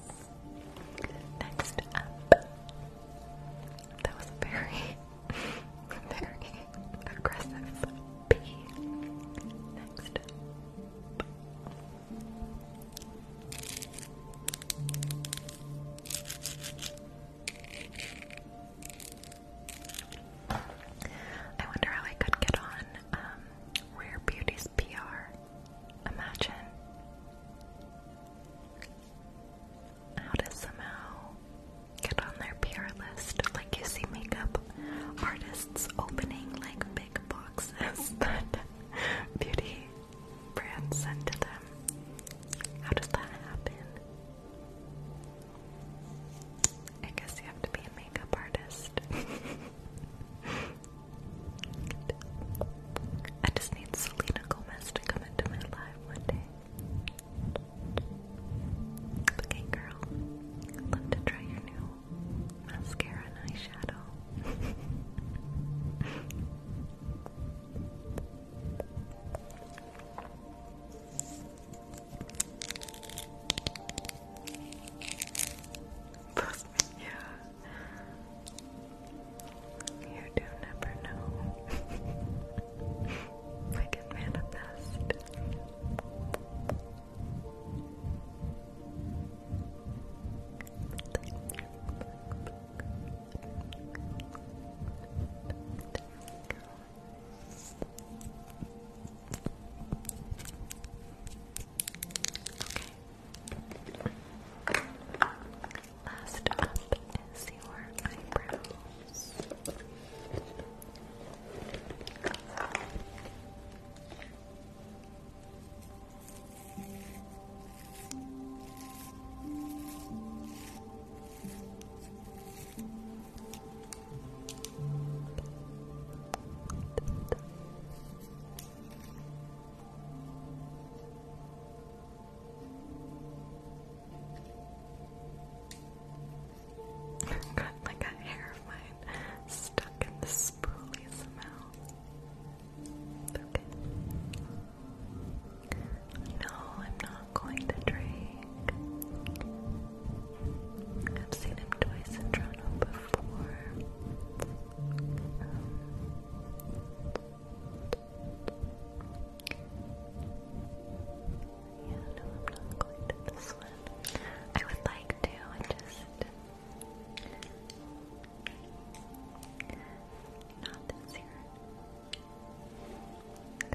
Next That was very, very aggressive. B. Next I wonder how I could get on um, Rare Beauty PR. Imagine how to somehow get on their PR list. Like you see makeup artists opening like big boxes that beauty brands send to them. How does that happen? I guess you have to be a makeup artist. I just need Selena Gomez to come into my life one day. Okay, girl. I'd love to try your new mascara and eyeshadow. yeah. You do never know. I can manifest. Okay, Last up is your eyebrows. Got like a hair of mine stuck in the spoolie somehow. Okay. No, I'm not going to drink. I've seen him twice in Toronto before. Um, yeah, no, I'm not going to this one. I would like to, I just not this year.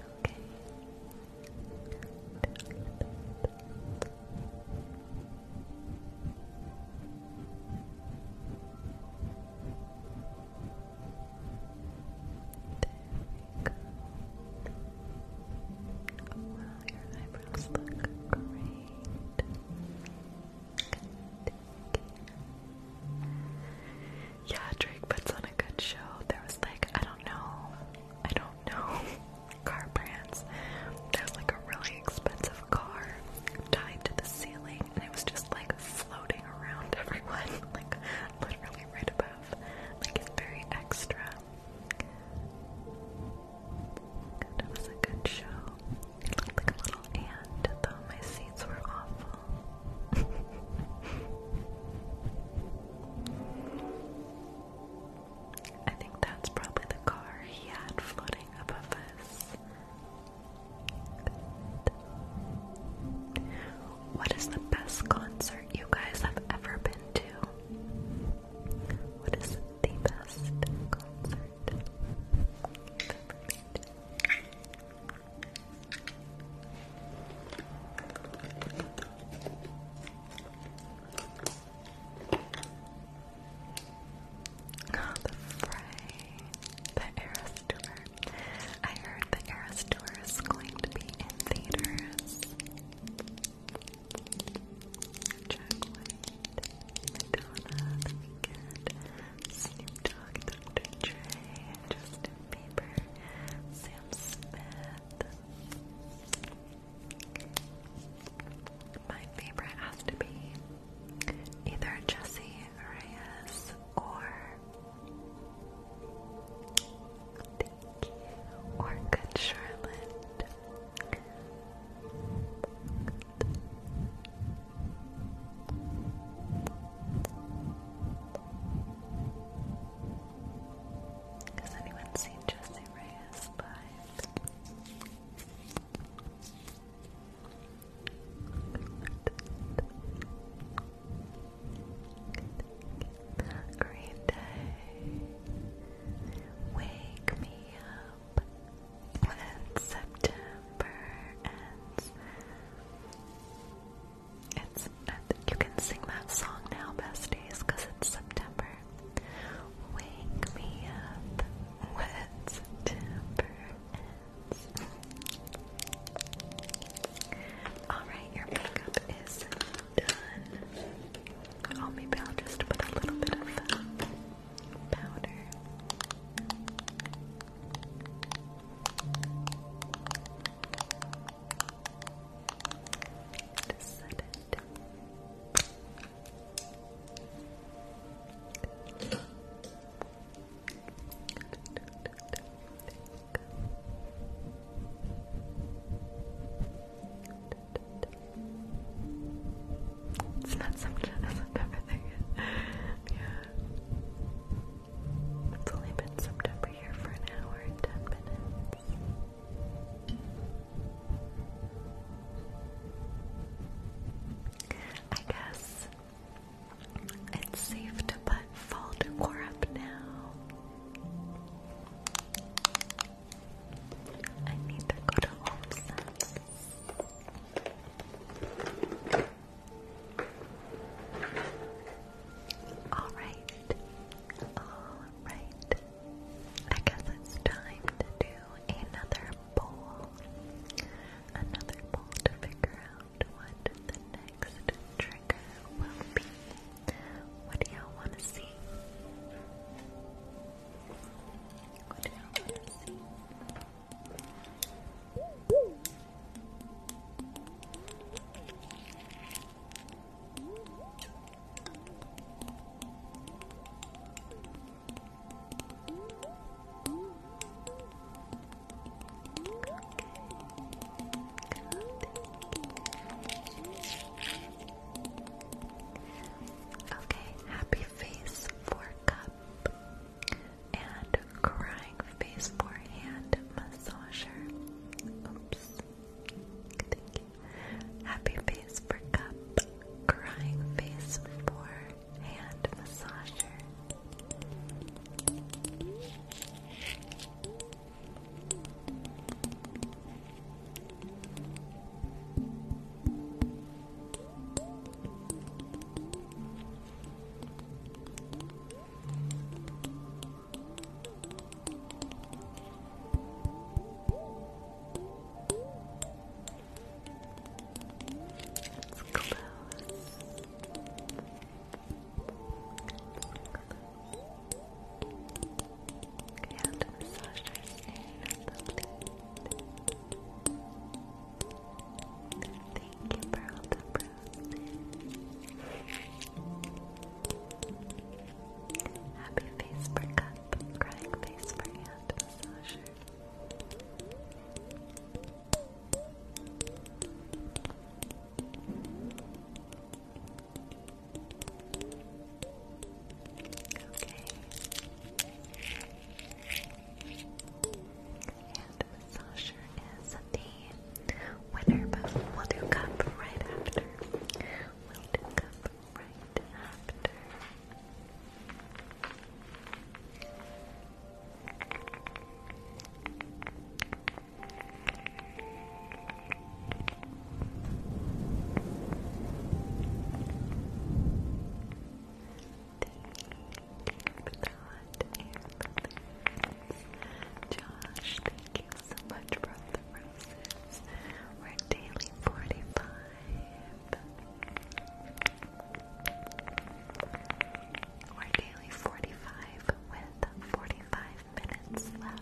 Okay. Okay go. Oh wow, your eyebrows look great. Good. Yeah, Drake puts on a good show. There was like, I don't know, I don't know car brands. There's like a really expensive car tied to the ceiling and it was just like floating around everyone, like literally right above. Like it's very extra. it was a good show. It looked like a little ant, though my seats were awful. I think that's probably the car he had floating above us. Good. What is the best concert you guys have ever been to? What is the best concert the fray, the Eras I heard the Eras tour going to be in theaters. Jack White, Madonna, The Weeknd, Snoop Dogg, Dr. Dre, Justin Bieber, Sam Smith. My favorite has to be either Jesse Reyes or or Good Charlotte. Has anyone seen Jesse Reyes live? Great day. Wake me up when September ends. It's you can sing that song now, besties, it's September. Wake me up when September hands. Alright, your makeup is done. I'll just put a little bit of uh, powder. Just set it. It's not something September thing. yeah. It's only been September here for an hour and ten minutes. I guess it's safe to put fall decor up now. I need to go to Home Sense. All right, all right. I guess it's time to do another poll. Another poll to figure out what the next trigger will be. What do y'all want to see? What do y'all want to see? Okay, happy face for cup and crying face for hand massager. Oops. Happy face for cup, crying face for hand massager. It's close. Okay, I Thank you for all the bruises. Happy face for cup, crying face for hand massager. And Sasha is the winner, but we'll do cup right after. We'll do cup right after. Josh, thank you so much for the roses. We're daily 45. We're nearly 45 with 45 minutes left.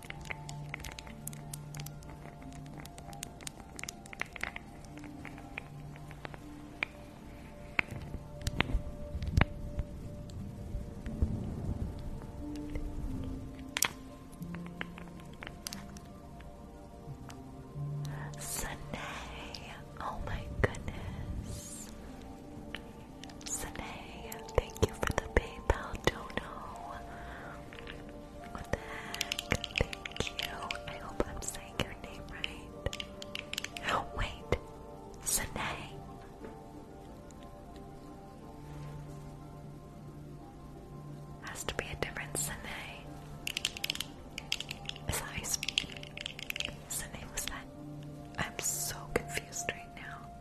Sunday, oh my goodness. Sine, thank you for the PayPal dono. What the heck? Thank you. I hope I'm saying your name right. wait. Sine. Has to be a different Sine. Is that Sine was that? I'm so confused right now.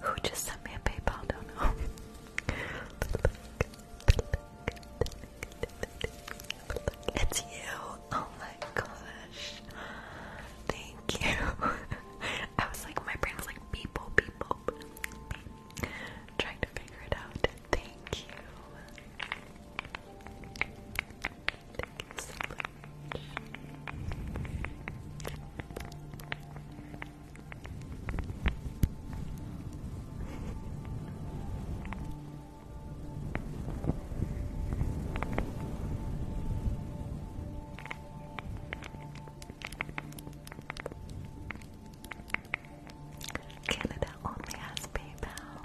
Who just sent me a PayPal? Don't know. It's you. Oh my gosh. Thank you. I was like, my brain like, people, people, trying to figure it out. Thank you. Canada only has PayPal.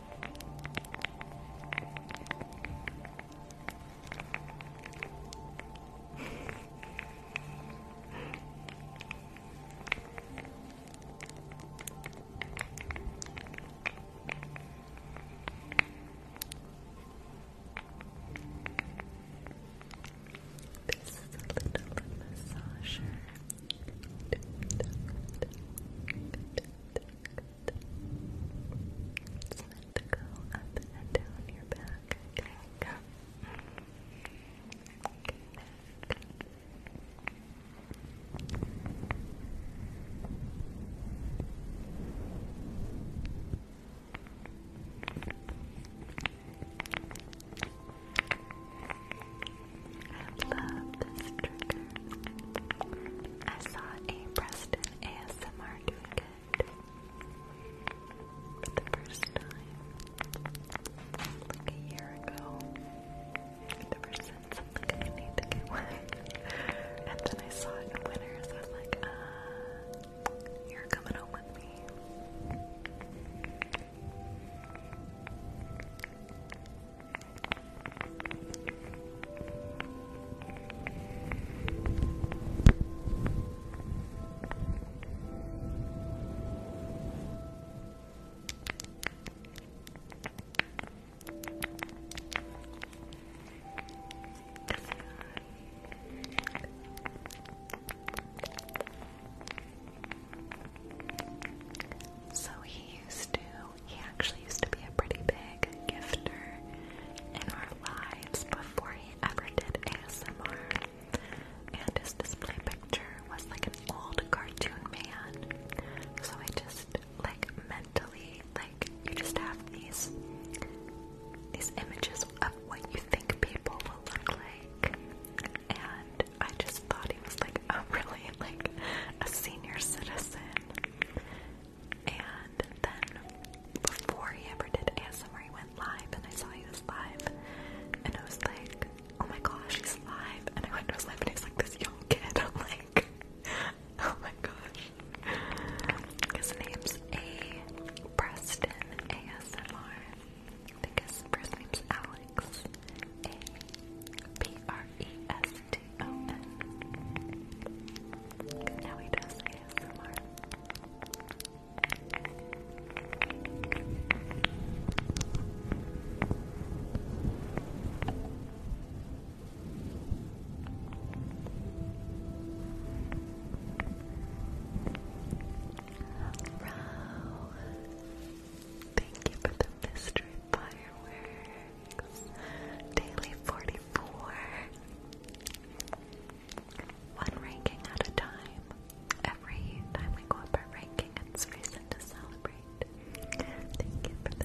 This is a little massager. It's meant to go up and down your back, I I love this trigger. I saw a Preston ASMR doing it for the first time like a year ago. Ever since I'm like, I need to get one. and then I saw it in I was like, uh, you're coming home with me. So he used to he actually used to be a pretty big gifter in our lives before he ever did ASMR. And his display picture was like an old cartoon man. So I just like mentally like you just have these these images of what you think people will look like. And I just thought he was like a really like a senior citizen. And then before he ever did ASMR, he went live and I saw he was live. And I was like, oh my gosh, he's live. And I went to his live and he's like this young kid. I'm like, oh my gosh. His name's A. Preston ASMR. I think his first name's Alex. A. P. R. E. S. T open. thank you for the mystery firework. Daily 44. One ranking at a time. Every time we go up our ranking, it's reason to celebrate. Thank you for the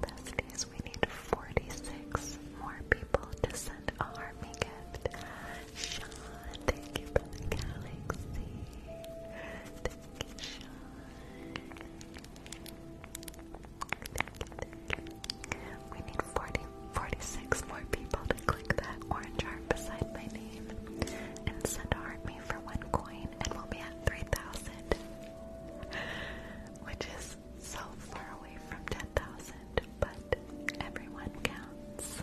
Besties, we need 46 more people to send a army gift. Sean, thank you from the galaxy. Thank you, Sean. We need 40, 46 more people to click that orange heart beside my name and send army for one coin, and we'll be at 3,000. which is so far away from 10,000, but everyone counts.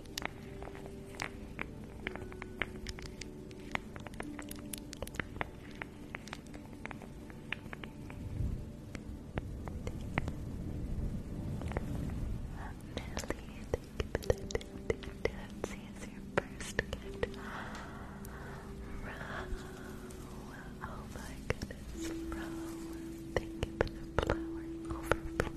is your first gift. Row. Oh my goodness, Row. Thank you the flower overflow.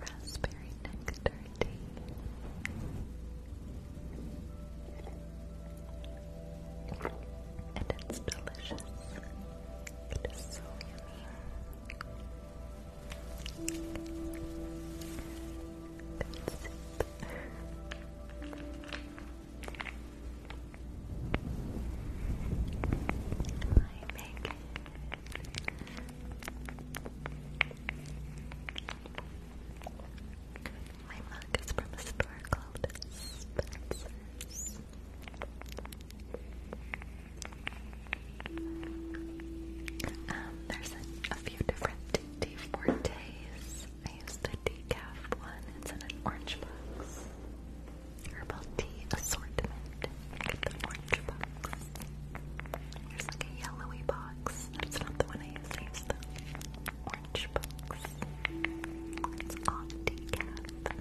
Raspberry nectar And it's delicious. It is so yummy. Good soup. My mug is from a store called Spencer's. Um, there's a, few different D Fortes. I used the decaf one. It's in an orange box. Herbal tea assortment. get the orange box. There's like a yellowy box. That's not the one I use. the orange box. It's all decaf.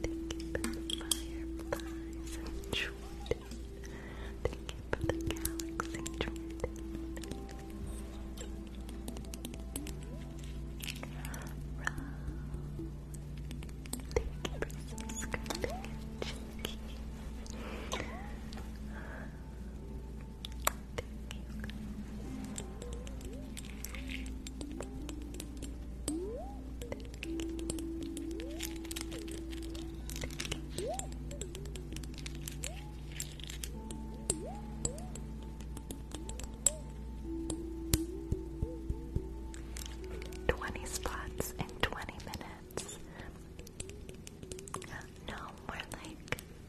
Thank you for the fireflies, Jordan. Thank you for the galaxy, Jordan. thank you for subscribing and Thank you. 20 spots in 20 minutes. No, more like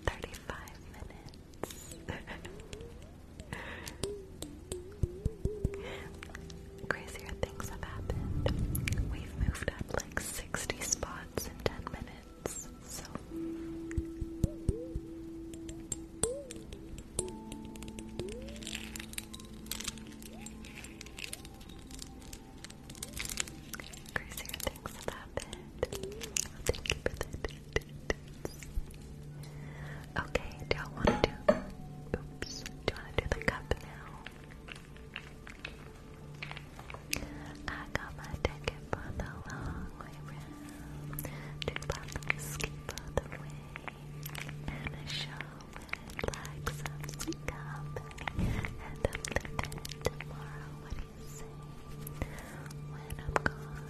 35 minutes. Crazier things have happened. We've moved up like 60 spots in 10 minutes, so. Crazier things have happened. Thank you for that Okay, do I want to do? Oops, do I want to do the cup now? I got my ticket for the long way round. Two bottles ski for the way, and show with like some sweet company. And I'm leaving tomorrow. What do you say? When I'm gone,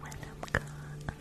when I'm gone.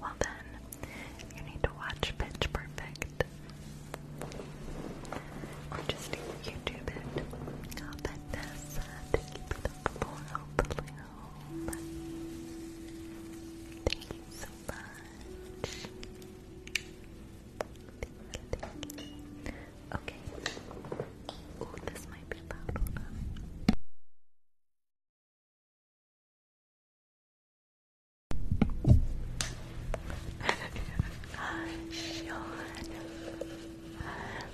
well then, you need to watch Pitch Perfect. Or just YouTube it. i Thank you for the follow, Thank you so much. Okay. Oh, this might be loud. Sean,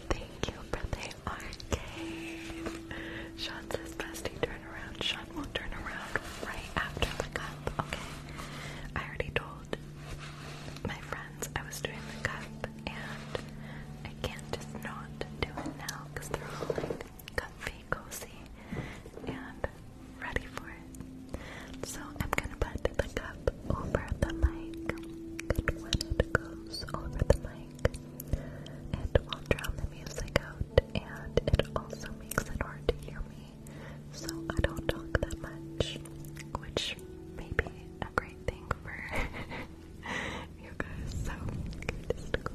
thank you for the arcade. Sean says, bestie, turn around. Sean will not turn around right after the cup, okay? I already told my friends I was doing the cup, and I can't just not do it now because they're all like comfy pretty cozy and ready for it. So I'm gonna put the cup over the mic, and when it goes over the mic, it will drown the music out, and it also makes it hard to hear me, so I don't talk that much, which may be a great thing for you guys. So just go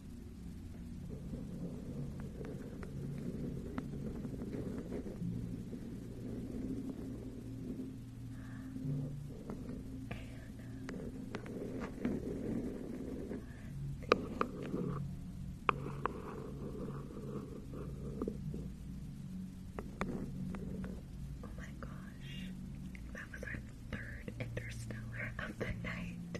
Oh my gosh, that was our third interstellar of the night.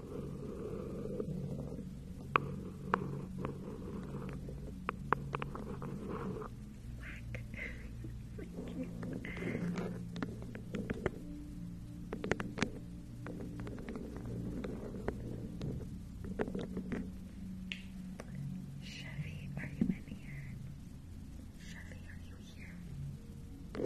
Black. Thank you. Chevy, are you in here? Chevy, are you here?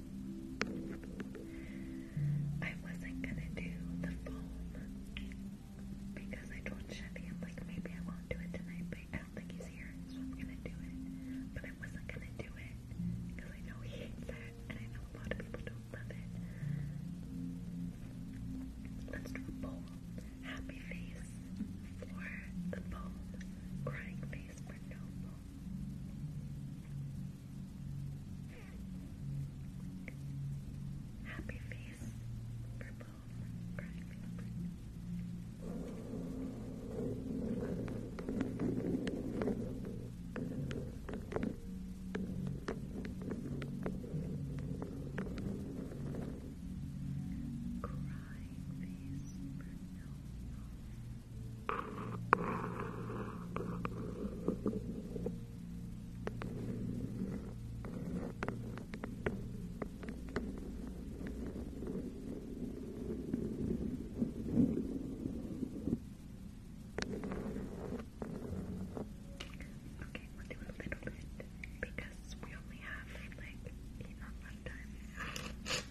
I wasn't gonna do the foam because I told Chevy I'm like maybe I won't do it tonight, but I don't think he's here, so I'm gonna do it. But I wasn't gonna do it because I know he hates that, and I know a lot of people don't love it. Let's do a Happy face for the foam, crying face for no foam. Happy face, purple, crying flipper. Crying face, purple, Okay, we'll do a little bit because we only have like eight on left time.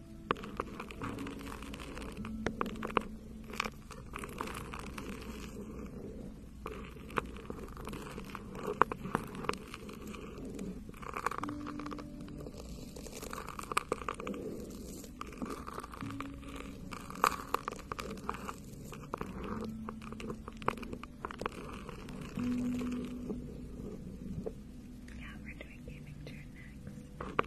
Yeah, we're doing doing gaming chair next.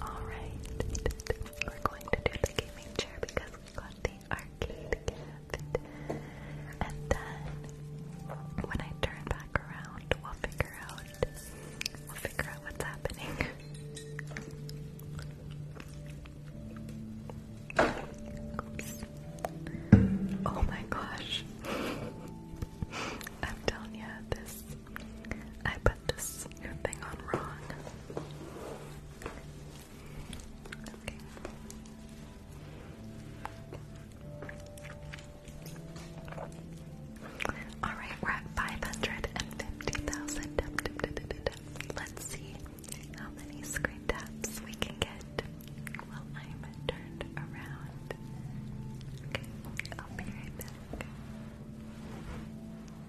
Alright, we're going to do the gaming chair because we got the arcade And then when I turn back around, we'll figure out we'll figure out what's happening. Oops. Oh my gosh. I'm telling you, this I put this thing on wrong. Alright, we're at 550,000 Let's see how many screen taps we can get. Well, I'm turned around. Okay, I'll be right back.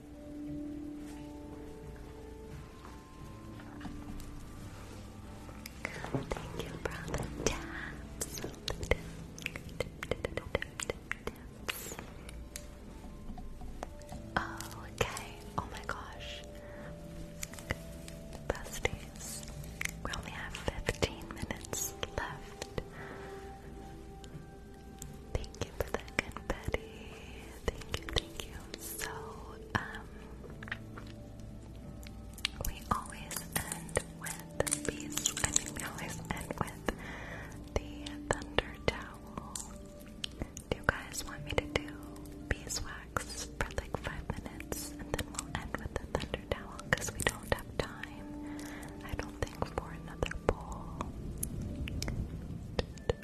Thank you for okay. Oh my gosh. Besties. We only have 15 minutes left. Thank you for the confetti. Thank you, thank you. So, um, we always end with these. I think we always end with the thunder towel. Do you guys want me to do beeswax for like five minutes and then we'll end with the thunder towel because we don't have time, I don't think, for another bowl?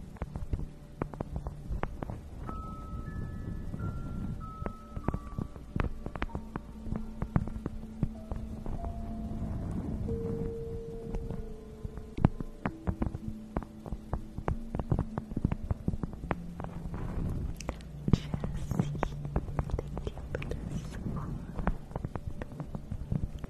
Jesse, thank you for the support.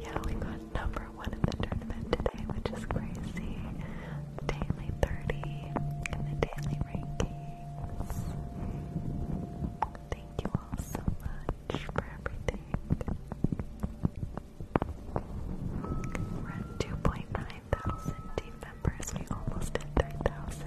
Yeah, we got number one in the tournament today, which is crazy. Daily 30 in the daily rankings. Thank you all so much for everything. We're at 2.9 thousand team members. We almost hit 3,000.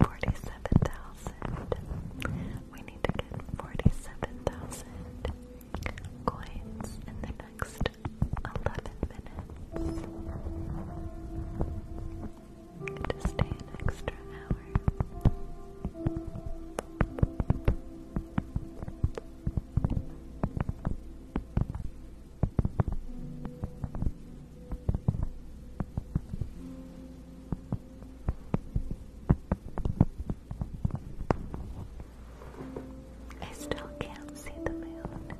Forty-seven thousand. We need to get forty-seven thousand coins in the next 11 minutes to an extra hour. I still can't see the moon.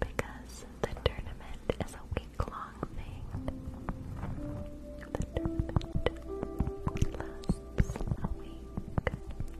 Because the tournament is a week long thing.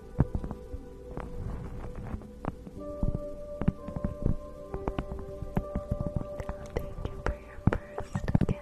thank you for your first gift.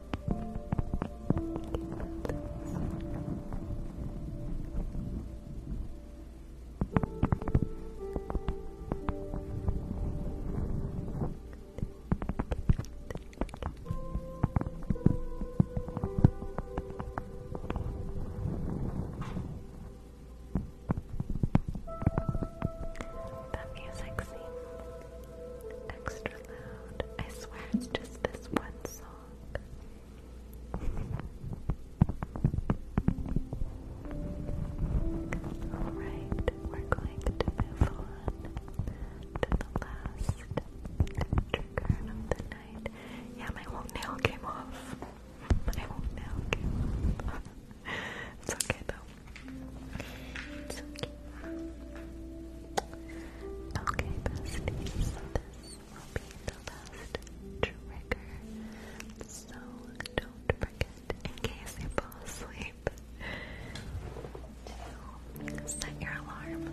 That music seems extra loud. I swear it's just this one song. Alright, we're going to move on to the last trigger of the night. Yeah, my whole nail came off. My whole nail came off. it's okay though. It's okay. Okay, besties, this will be the last trigger. So don't forget, in case you fall asleep, to set your alarm.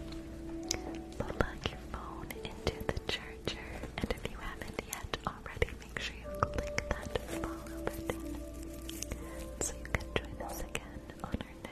Plug your phone into the charger, and if you haven't yet already, make sure you click that follow button so you can join us again on our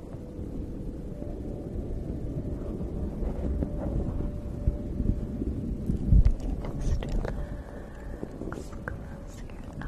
Just relax, close your eyes.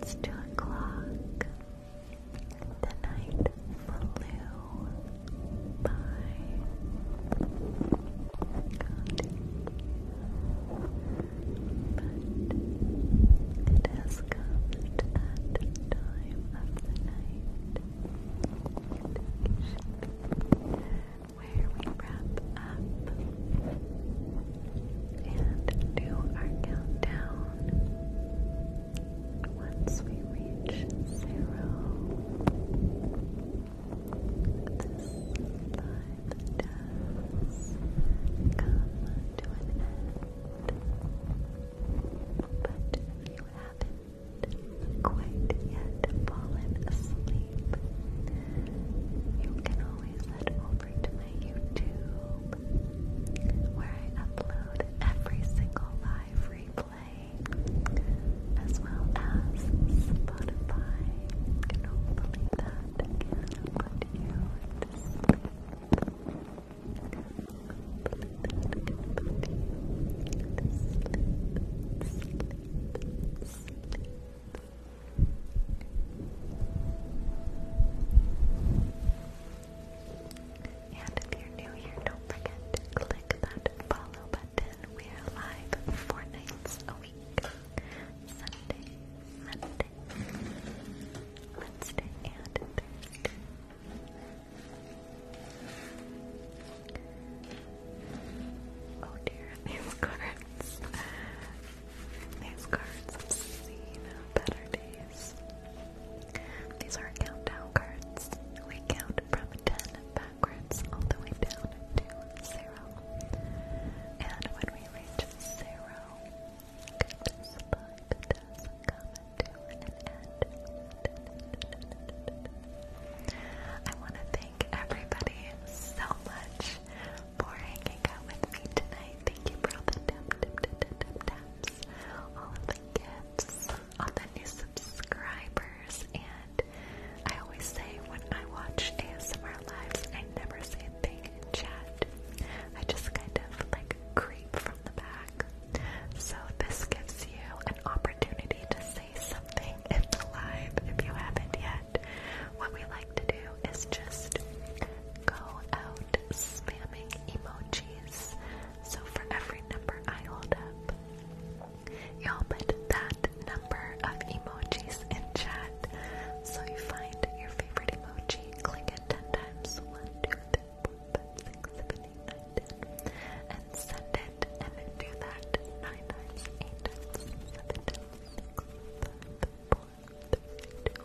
It's two o'clock. The night flew by. But it has come at time of the night where we wrap up and do our countdown. Once we reach zero, this life does come to an end. But if you haven't quite yet fallen asleep, you can always head over to my YouTube where I upload every single live replay as well as Spotify. And can put you that can put you to and if you're new here, don't forget to click that follow button. We are live four nights a week. Sunday, Monday, Wednesday, and Thursday. Oh dear, these cards. These cards have seen better days. These are countdown cards. We count from 10 backwards all the way down to 0. And when we reach 0, this book does to an end. I want to thank everybody so much for hanging out with me tonight. Thank you for all the gifts, all the new subscribers, and I always say when I watch ASMR lives, I never say a thing in chat. I just kind of like creep from the back. So this gives you an opportunity to say something in the live if you haven't yet. What we like to do is just go out spamming emojis. So for every number I hold up, y'all put that number of emojis in chat. So you find your favorite emoji, click it 10 times 1, and send it. And then do that 9 times, 8 times, 7 times, 6, 5, 4, 3, 2,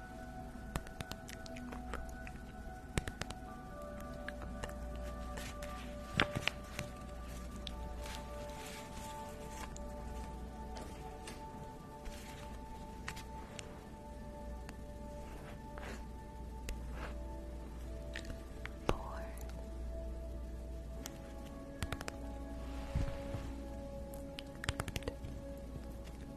Four. Good.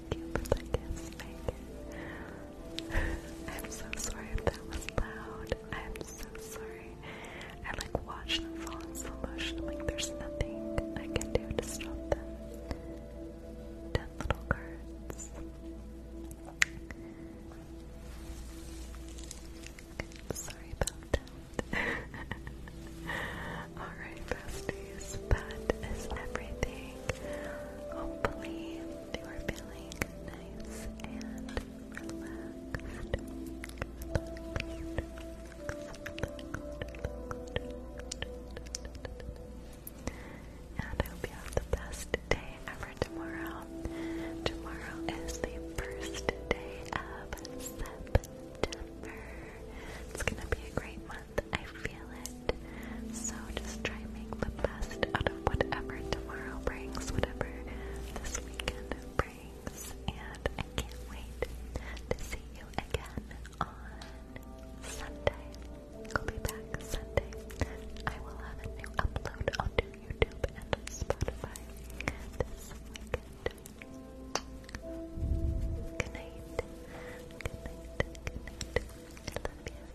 I'm so sorry if that was loud. I'm so sorry. I like watch them fall in slow motion. like there's nothing I can do to stop them. Ten little cards. Sorry about that. Alright, besties. That is everything. Hopefully, you are feeling nice and relaxed. And I hope you have the best day ever tomorrow. Tomorrow is the first day of September. It's gonna be a great month. I feel it. So just try and make the best out of whatever tomorrow brings, whatever this weekend brings. And I can't wait to see you again on Sunday. I'll be back Sunday. I will have a new upload onto YouTube and Spotify Good night. Good night. Good night. I love you.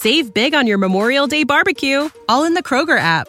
Save big on your Memorial Day barbecue, all in the Kroger app.